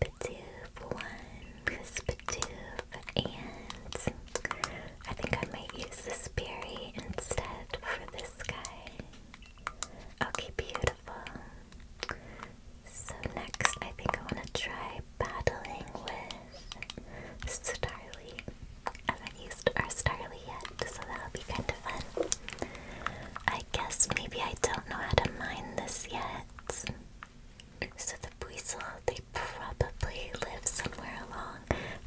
S1: Bidoof one, Bidoof, and I think I might use the Speary instead for this guy. Okay, beautiful. So next, I think I want to try battling with Starly. haven't used our Starly yet, so that'll be kind of fun. I guess maybe I don't know how to mine this yet. So the Buizel, they probably live somewhere along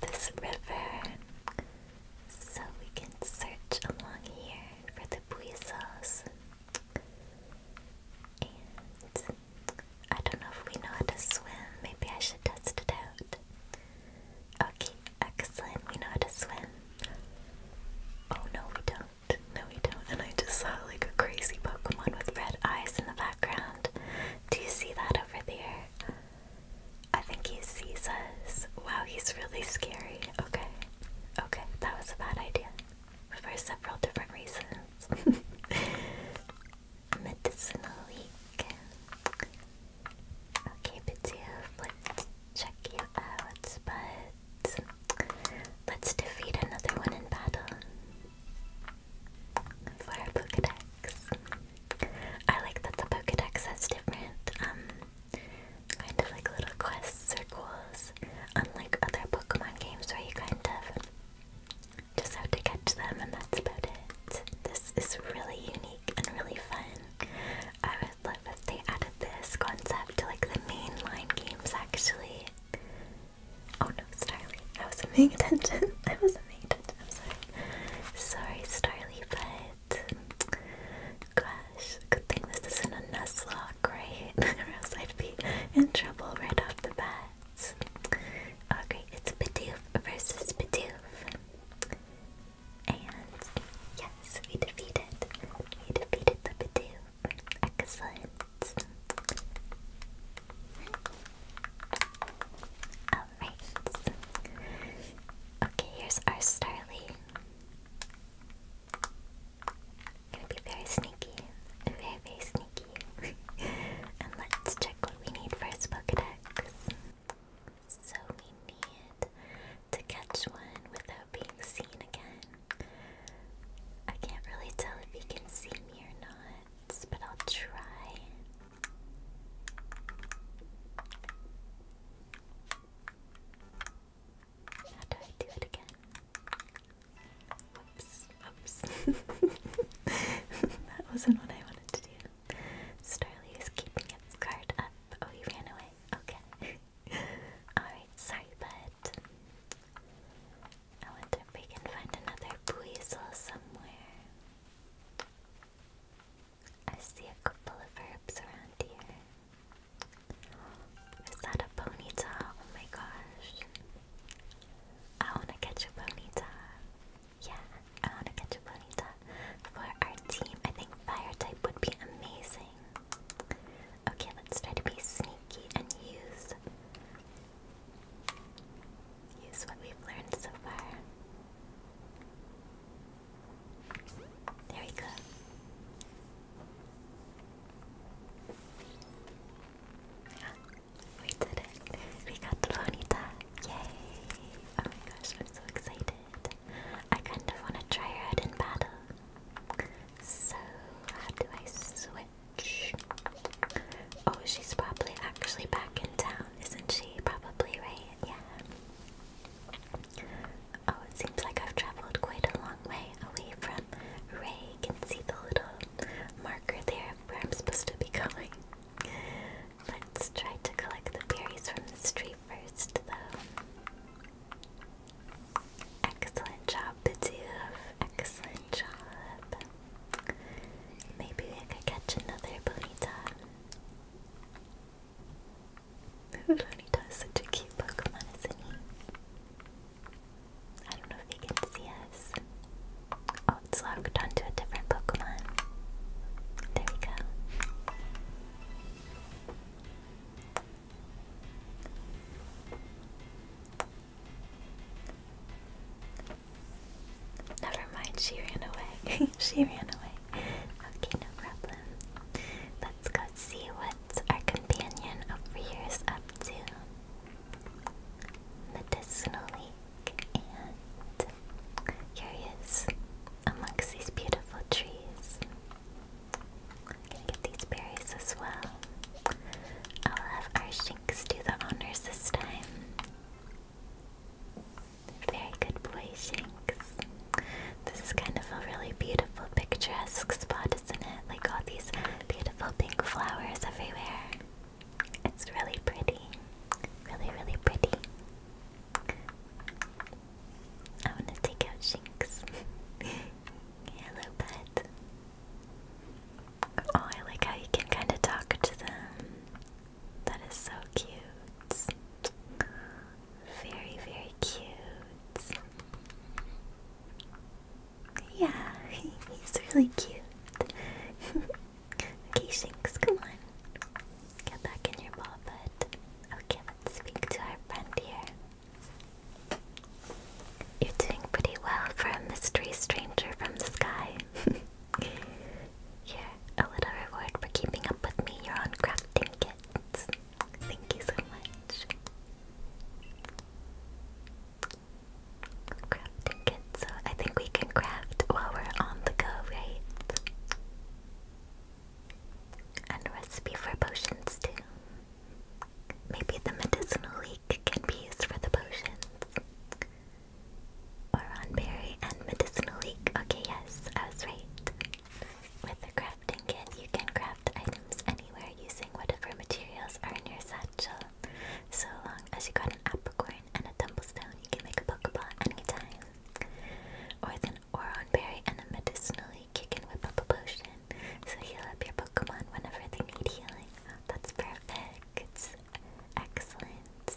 S1: this river. So we can search along here for the Buizels. I don't know if we know how to swim. Maybe I should test it out. Okay, excellent. We know how to swim. Oh no, we don't. No, we don't. And I just saw like a crazy Pokemon with red eyes in the background. Do you see that over there? I think he sees us. Wow, he's really scary. Okay. Okay, that was a bad idea. For several different reasons. Medicinal leak. Okay, Pidgeot, let's check you out, but let's defeat another one in battle. For our Pokedex. I like that the Pokedex has different um Kind of like little quests or goals, unlike other Pokemon games where you kind of just have to catch them and that's about it. This is really unique and really fun. I would love if they added this concept to like the mainline games actually. Oh no, Starly. I wasn't paying attention. I wasn't paying attention. I'm sorry. Sorry, Starly, but gosh, good thing this isn't a Nuzlocke, right? or else I'd be in trouble right off the bat. Okay, it's Bidoof versus Bidoof. And yes, we defeated. We defeated the Bidoof. Excellent. Alright. Okay, here's our Starly. Gonna be very sneaky. Very, very sneaky. and let's check what we need first, Pokedex. So we need to catch one without being seen again. I can't really tell if you can see me or not, but I'll try. How do I do it again? Oops, oops. that wasn't what I wanted to do. Starly is keeping its guard up. Oh, he ran away. Okay. Alright, sorry, bud. I wonder if we can find another weasel somewhere. I see a couple of herbs around here. Is that a Ponyta? Oh my gosh. I wanna catch a Ponyta. Yeah, I wanna catch a Ponyta for our team. I think fire type would be amazing. Okay, let's try to be sneaky and use use what we've learned so far. There we go. We did it. We got the Bonita. Yay! Oh my gosh, I'm so excited. I kind of want to try her in battle. So, how do I switch? Oh, she's probably actually back in town, isn't she? Probably, right? Yeah. Oh, it seems like I've traveled quite a long way away from Ray. can see the little marker there where I'm supposed to be going. Let's try to collect the berries from this tree first, though. Excellent job, Bidoof. Excellent job. Maybe I could catch another Bonita. Bonita is such a cute Pokemon, isn't he? I don't know if you can see us. Oh, it's locked onto a different Pokemon. There we go. Never mind, she ran away. she ran away. Okay, no problem. Let's go let's see what our companion of years up to. Medicinal and here he is amongst these beautiful trees. I can get these berries as well. I'll have our shanks do the honors this time. Very good boy, Shinx. This is kind of a really beautiful, picturesque spot, isn't it? Like all these beautiful pink flowers everywhere. It's really pretty. Really, really pretty. I want to take out Shinx. Hello, pet. Oh, I like how you can kind of talk to them. That is so cute. Very, very cute. Yeah, he's really cute. okay, Shinx, come on. Get back in your ball bud. Okay, let's speak to our friend here. You're doing pretty well for a mystery stranger from the sky. Here, a little reward for keeping up with me, your own crafting kits. Thank you so much. Crafting so I think we can craft while we're on the go, right? And recipe for potions too. Maybe the medicinal leek can be used for the potions. Oranberry and medicinal leek. Okay, yes, I was With the crafting crafting you can craft items anywhere using whatever materials are in your satchel. So long as you got an apricorn and a tumblestone, you can make a pokeball anytime. Or then oron berry and a medicinal leek, whip up a potion. So heal up your Pokemon whenever they need healing. That's perfect. It's excellent.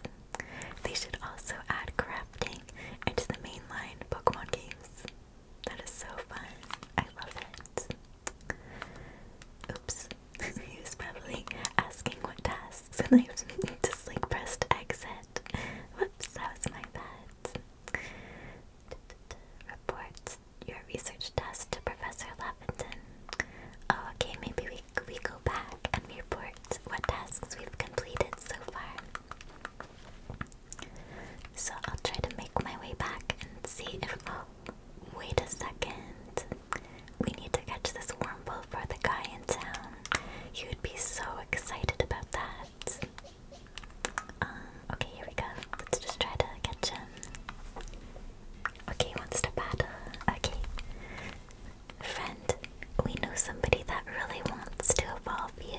S1: They should also add crafting into the mainline Pokemon games. That is so fun. I love it. Oops, he was probably asking what tasks, and I just like pressed exit. Whoops, that was my bad. report your research task to Professor Lavington. Oh, okay, maybe we we go back and report what tasks we've completed so far. So I'll try to make my way back and see if. Oh, wait a second. We need to catch this wormhole for the guy in town. you would be so excited about that. Um, okay, here we go. Let's just try to catch him. Okay, wants to battle. Okay. Friend, we know somebody that really wants to evolve you.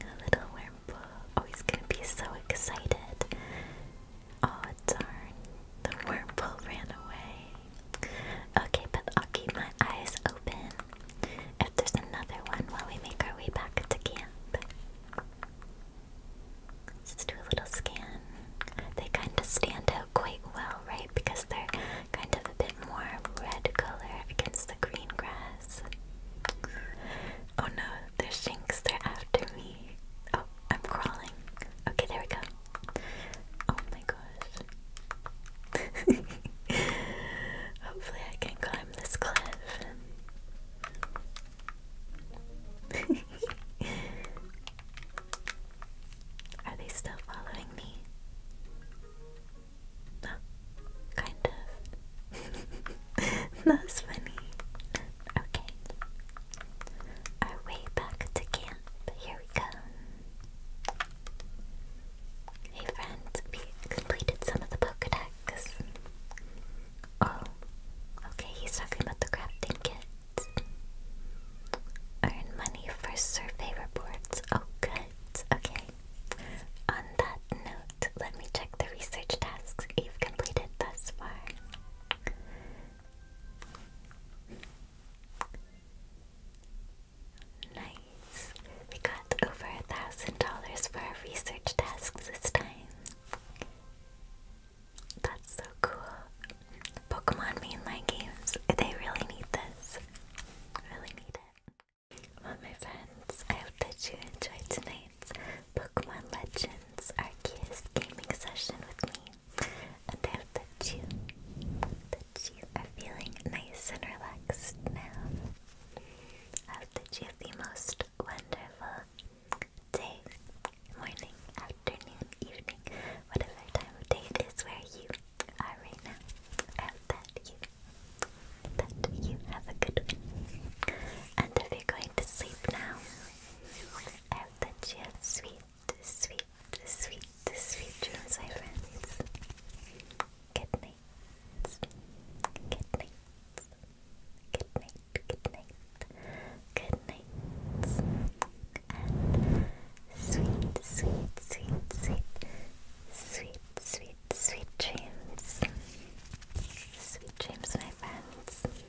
S1: A little worm Oh, he's gonna be so excited. Oh darn. The wormhole ran away. Okay, but I'll keep my eyes open if there's another one while we make our way back to camp. just do a little scan. They kind of stand out quite well, right? Because they're kind of a bit more red color against the green grass. Oh no, their shinks, they're after me. Oh, I'm crawling. Okay, there we go. Oh my gosh. Hopefully, I can climb this cliff. Are they still following me? Kind of. That's funny. Okay. Our way back to camp. Here we go. Hey friends, we completed some of the Pokedex. Oh, okay, he's talking about the crafting kit. Earn money for survey reports. Oh, good. Okay that note, let me check the research tasks you've completed thus far. Nice. We got over a thousand dollars for our research tasks this time. That's so cool. Pokemon my games, they really need this. Really need it. Well, my friends, I hope that you enjoyed tonight's Pokemon Legends Arceus gaming session with me. And I hope that you, that you are feeling nice and relaxed now. I hope that you have the most wonderful day, morning, afternoon, evening, whatever time of day it is where you are right now. I hope that you that you have a good one. And if you're going to sleep now, I hope that you have sweet, sweet, sweet, sweet dreams, my friends. Good night. Good night. Good night. Good night. Good night. sweet, sweet, sweet, sweet, sweet, sweet sweet, sweet dreams. Sweet dreams, my friends.